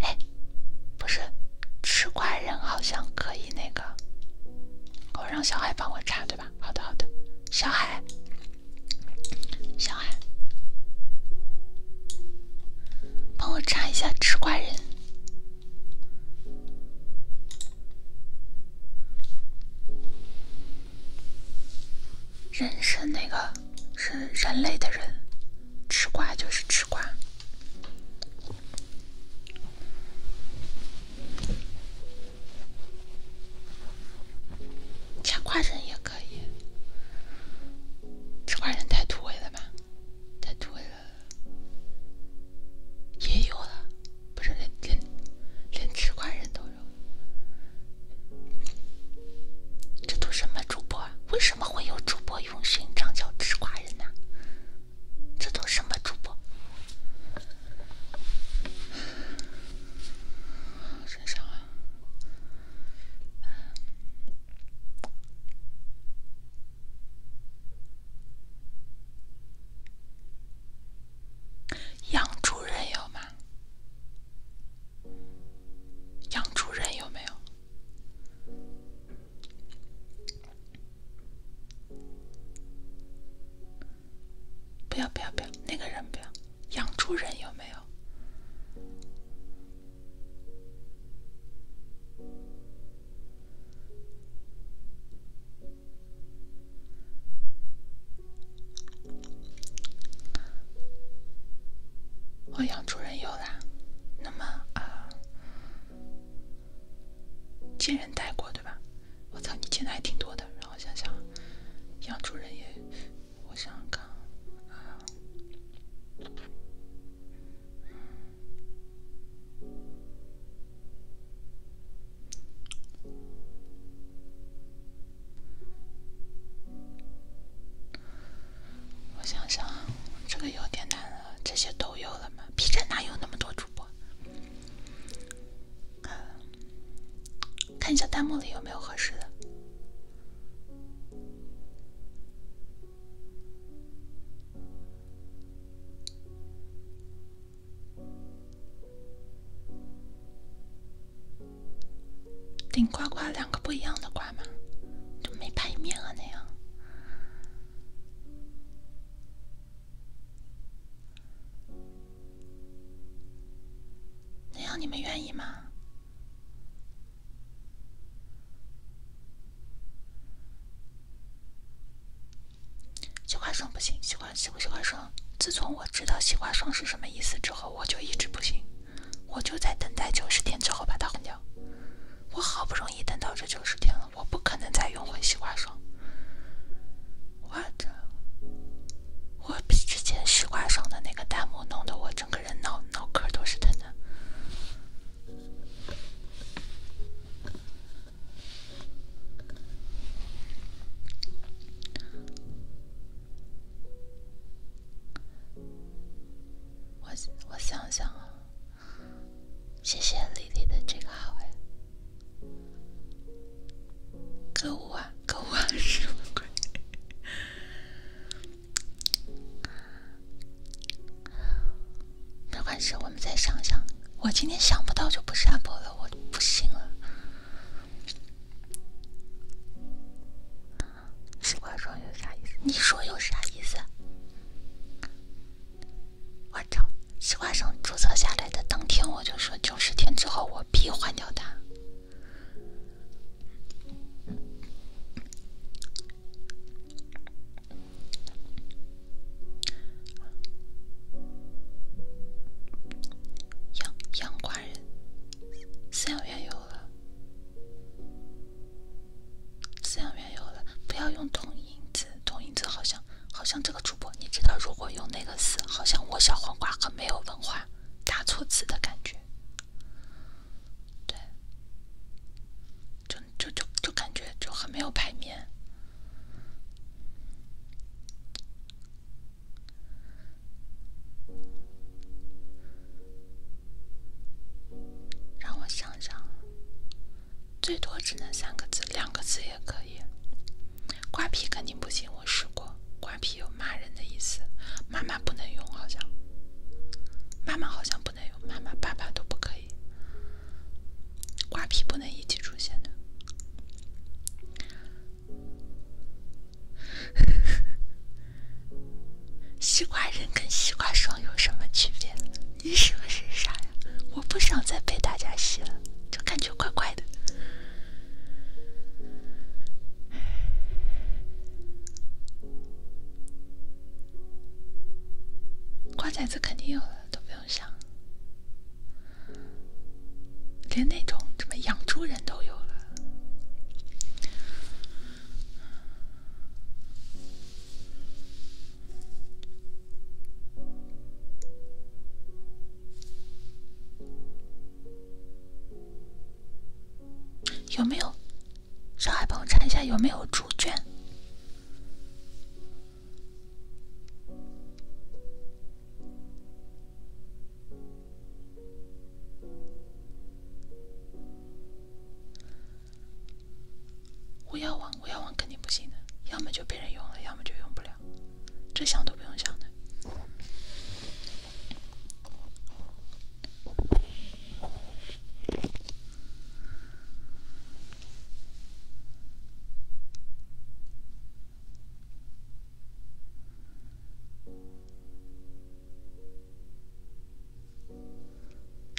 哎，不是，吃瓜人好像可以。那个，我让小海帮我查，对吧？好的，好的，小海，小海，帮我查一下“吃瓜人”。人生那个是人类的人，吃瓜就是吃瓜。吃瓜人也可以，吃瓜人太土味了吧？太土味了，也有了，不是连连连吃瓜人都有，这都什么主播？为什么会有主播用心？长叫吃瓜人呢？这都什么主播？身上啊？养主人有吗？养主人有没有？不要不要不要，那个人不要，养猪人有没有？哦，养猪人有啦。那么啊，贱人带过对吧？我操，你见的还挺多的。然后想想，养猪人也，我想想啊，我想想这个有点难了。这些都有了吗 b 站哪有那么多主播？看一下弹幕里有没有合适的。顶呱呱，两个不一样的呱吗？就没排面了那样。那样你们愿意吗？西瓜霜不行，西瓜西瓜西瓜霜。自从我知道西瓜霜是什么意思之后，我就一直不行，我就在等待九十天之后把它换掉。我好不容易等到这九十天了。我不可能再用回西瓜霜，我我比之前西瓜霜的那个弹幕弄得我整个人脑脑壳都是疼的。我我想想。啊。谢谢丽丽的这个号哎，歌舞啊，歌舞啊，什么鬼？没关系，我们再想想。我今天想不到就不下播了，我不行了。奇怪妆有啥意思？你说有啥意思？我操！西瓜上注册下来的当天，我就说九十天之后我必换掉它。养养瓜人，饲养员有了，饲养员有了，不要用同音字，同音字好像。好像这个主播，你知道，如果用那个词，好像我小黄瓜很没有文化，打错字的感觉，对，就就就就感觉就很没有排面，让我想想。最多只能三个字，两个字也可以。瓜皮肯定不行，我试过。瓜皮有骂人的意思，妈妈不能用，好像。妈妈好像不能用，妈妈爸爸都不可以。瓜皮不能一起出现的。*laughs* 西瓜人跟西瓜霜有什么区别？你是不是傻呀？我不想再被大家洗了。就感觉怪怪的，瓜崽子肯定有了，都不用想，连那种什么养猪人都有了。有没有？上海，帮我查一下有没有猪圈。我要王，我要王肯定不行的，要么就被人用了，要么就用不了。这想都不用想的。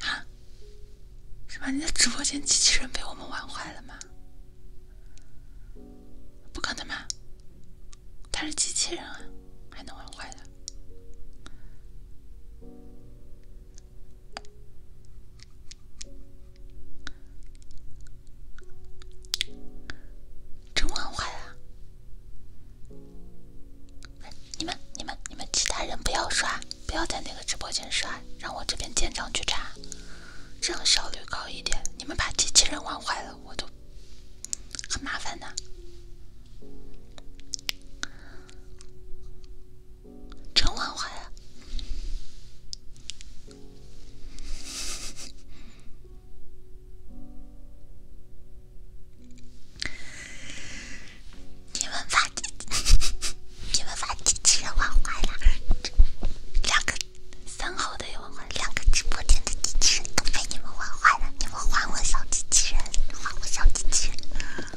啊？是吗？你的直播间机器人被我们玩坏了吗？不可能吧？他是机器人啊，还能玩坏的？真玩坏啦！你们、你们、你们其他人不要刷，不要在那个直播间刷，让我这边舰长去查。这样效率高一点。你们把机器人玩坏了，我都很麻烦的。真玩坏了？你们把 *laughs* 你们把机器人玩坏了，两个。三号的有玩两个直播间的机器人都被你们玩坏了。你们还我小机器人，还我小机器人！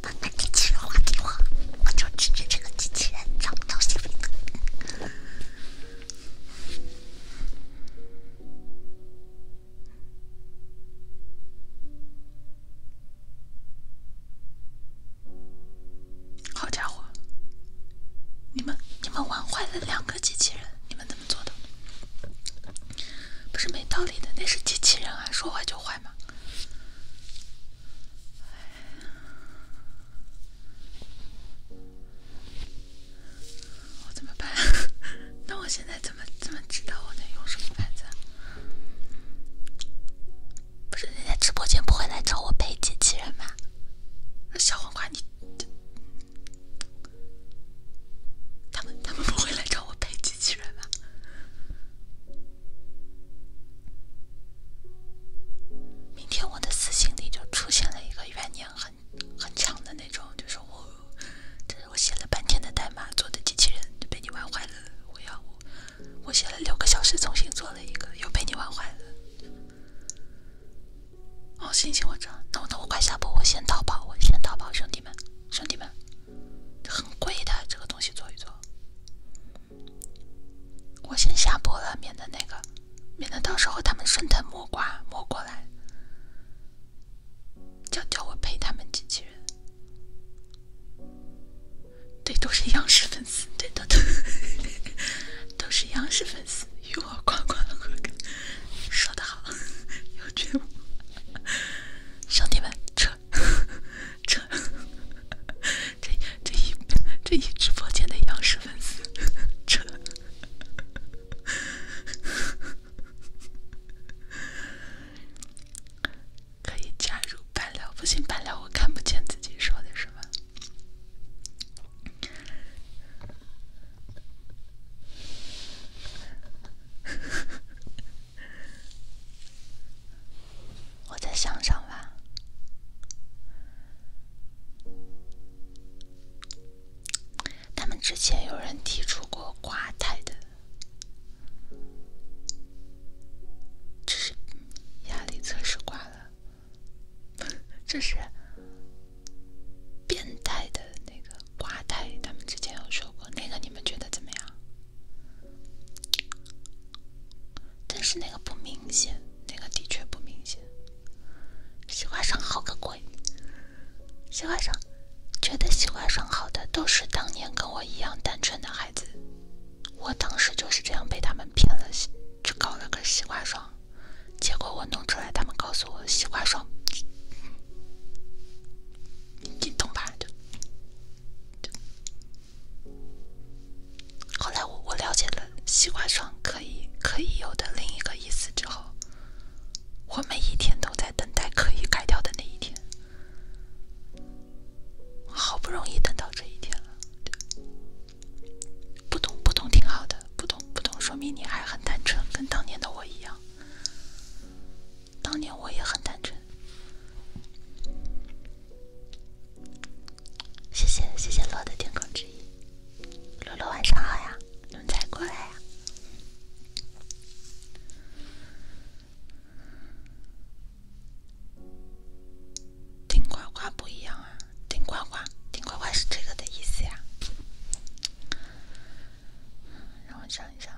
把那机器人还给我，我就指着这个机器人找到小飞的。*laughs* 好家伙！你们你们玩坏了两个机器人，你们怎么做的？不是没道理的，那是机器人啊，说坏就坏嘛。我怎么办？*laughs* 那我现在怎么怎么知道我能用什么牌子？不是你在直播间不会来找我配机器人吗？那小黄瓜你，他们他们不会来找我配机器人吧？明天我的私信里就出现了一个怨念很很强的那种，就是我这是我写了半天的代码做的机器人，就被你玩坏了，我要。我写了六个小时，重新做了一个，又被你玩坏了。哦，行行，我知，那我那我快下播，我先淘宝，我先淘宝，兄弟们，兄弟们，很贵的这个东西，做一做。我先下播了，免得那个，免得到时候他们顺藤摸瓜摸过来，叫叫我陪他们机器人。对，都是央视粉丝，对，的，都都是央视粉丝，与我夸夸何干？说得好，有觉悟，兄弟们，撤，撤，这这一这一直播间的央视粉丝，撤，可以加入半聊，不行半聊，我看不见自己说的什么。*laughs* 我再想想吧。他们之前有人提出过挂太的，只是压力测试挂了。这是变态的那个瓜太，他们之前有说过那个，你们觉得怎么样？但是那个不明显，那个的确不明显。西瓜上好个鬼！西瓜上，觉得西瓜上好的都是当年跟我一样单纯的孩子。我当时就是这样被他们骗了，去搞了个西瓜霜，结果我弄出来，他们告诉我西瓜霜，你懂吧？就后来我我了解了西瓜霜可以可以有的另一个意思之后，我每一天都在等待可以改掉的那一天，好不容易等到这一天了。不懂不懂挺好的，不懂不懂说明你还很单纯，跟当年的我一样。当年我也很单纯。谢谢谢谢洛的天空之翼，洛洛晚上好呀，你们才过来呀。顶呱呱不一样啊，顶呱呱，顶呱呱是这个的意思呀。让我想一想，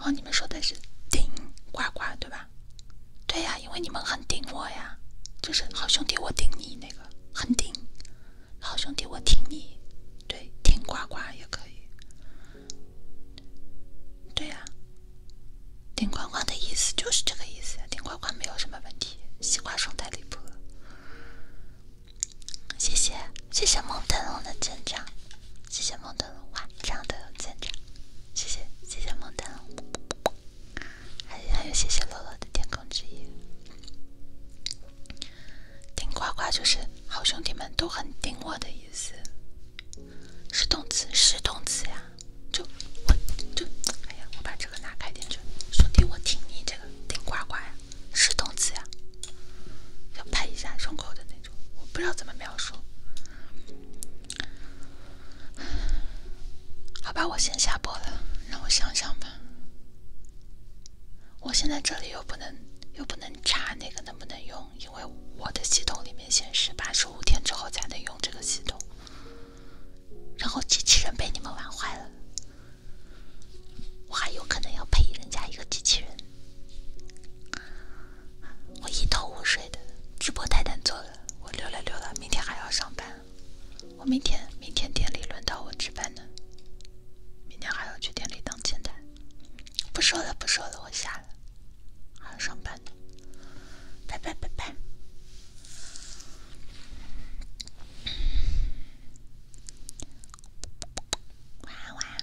哦，你们说的是顶呱呱对吧？对呀，因为你们很顶我呀，就是好兄弟我顶你那个很顶，好兄弟我挺你，对，顶呱呱也可以，对呀。顶呱呱的意思就是这个意思，顶呱呱没有什么问题，西瓜霜太离谱了。谢谢谢谢梦腾龙的舰长，谢谢梦腾龙晚上的有建谢谢谢谢梦腾龙，还还有谢谢乐乐的天空之翼。顶呱呱就是好兄弟们都很顶我的意思，是动词是动词呀。就我就哎呀，我把这个拿开点。兄弟，我听你这个顶呱呱呀，是动词呀，要拍一下胸口的那种，我不知道怎么描述。好吧，我先下播了，让我想想吧。我现在这里又不能又不能查那个能不能用，因为我的系统里面显示八十五天之后才能用这个系统。然后机器人被你们玩坏了，我还有可能要赔人家一个机器人，我一头雾水的。直播太难做了，我溜了溜了，明天还要上班。我明天明天店里轮到我值班呢，明天还要去店里当前台。不说了不说了，我下了，还要上班呢，拜拜拜拜。晚安晚安，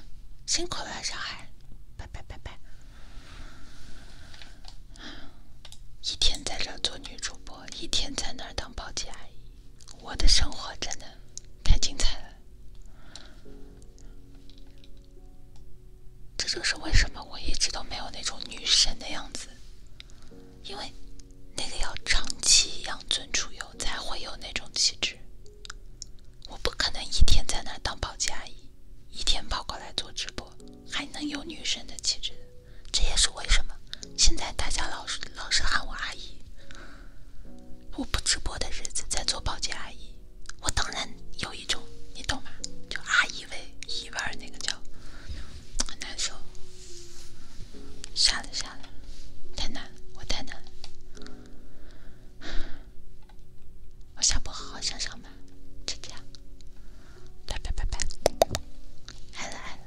辛苦了，小孩，拜拜拜拜。一天在这做女主播，一天在那儿当保洁阿姨，我的生活真的太精彩了。这就是为什么我一直都没有那种女神的样子。因为那个要长期养尊处优才会有那种气质，我不可能一天在那当保洁阿姨，一天跑过来做直播，还能有女生的气质。这也是为什么现在大家老是老是喊我阿姨，我不直播的日子在做保洁阿姨，我当然有一种，你懂吗？叫阿姨。以为一玩那个叫，很难受。下了下了，太难，我太难了。我下播好好想想吧，再见，拜拜拜拜。还来了。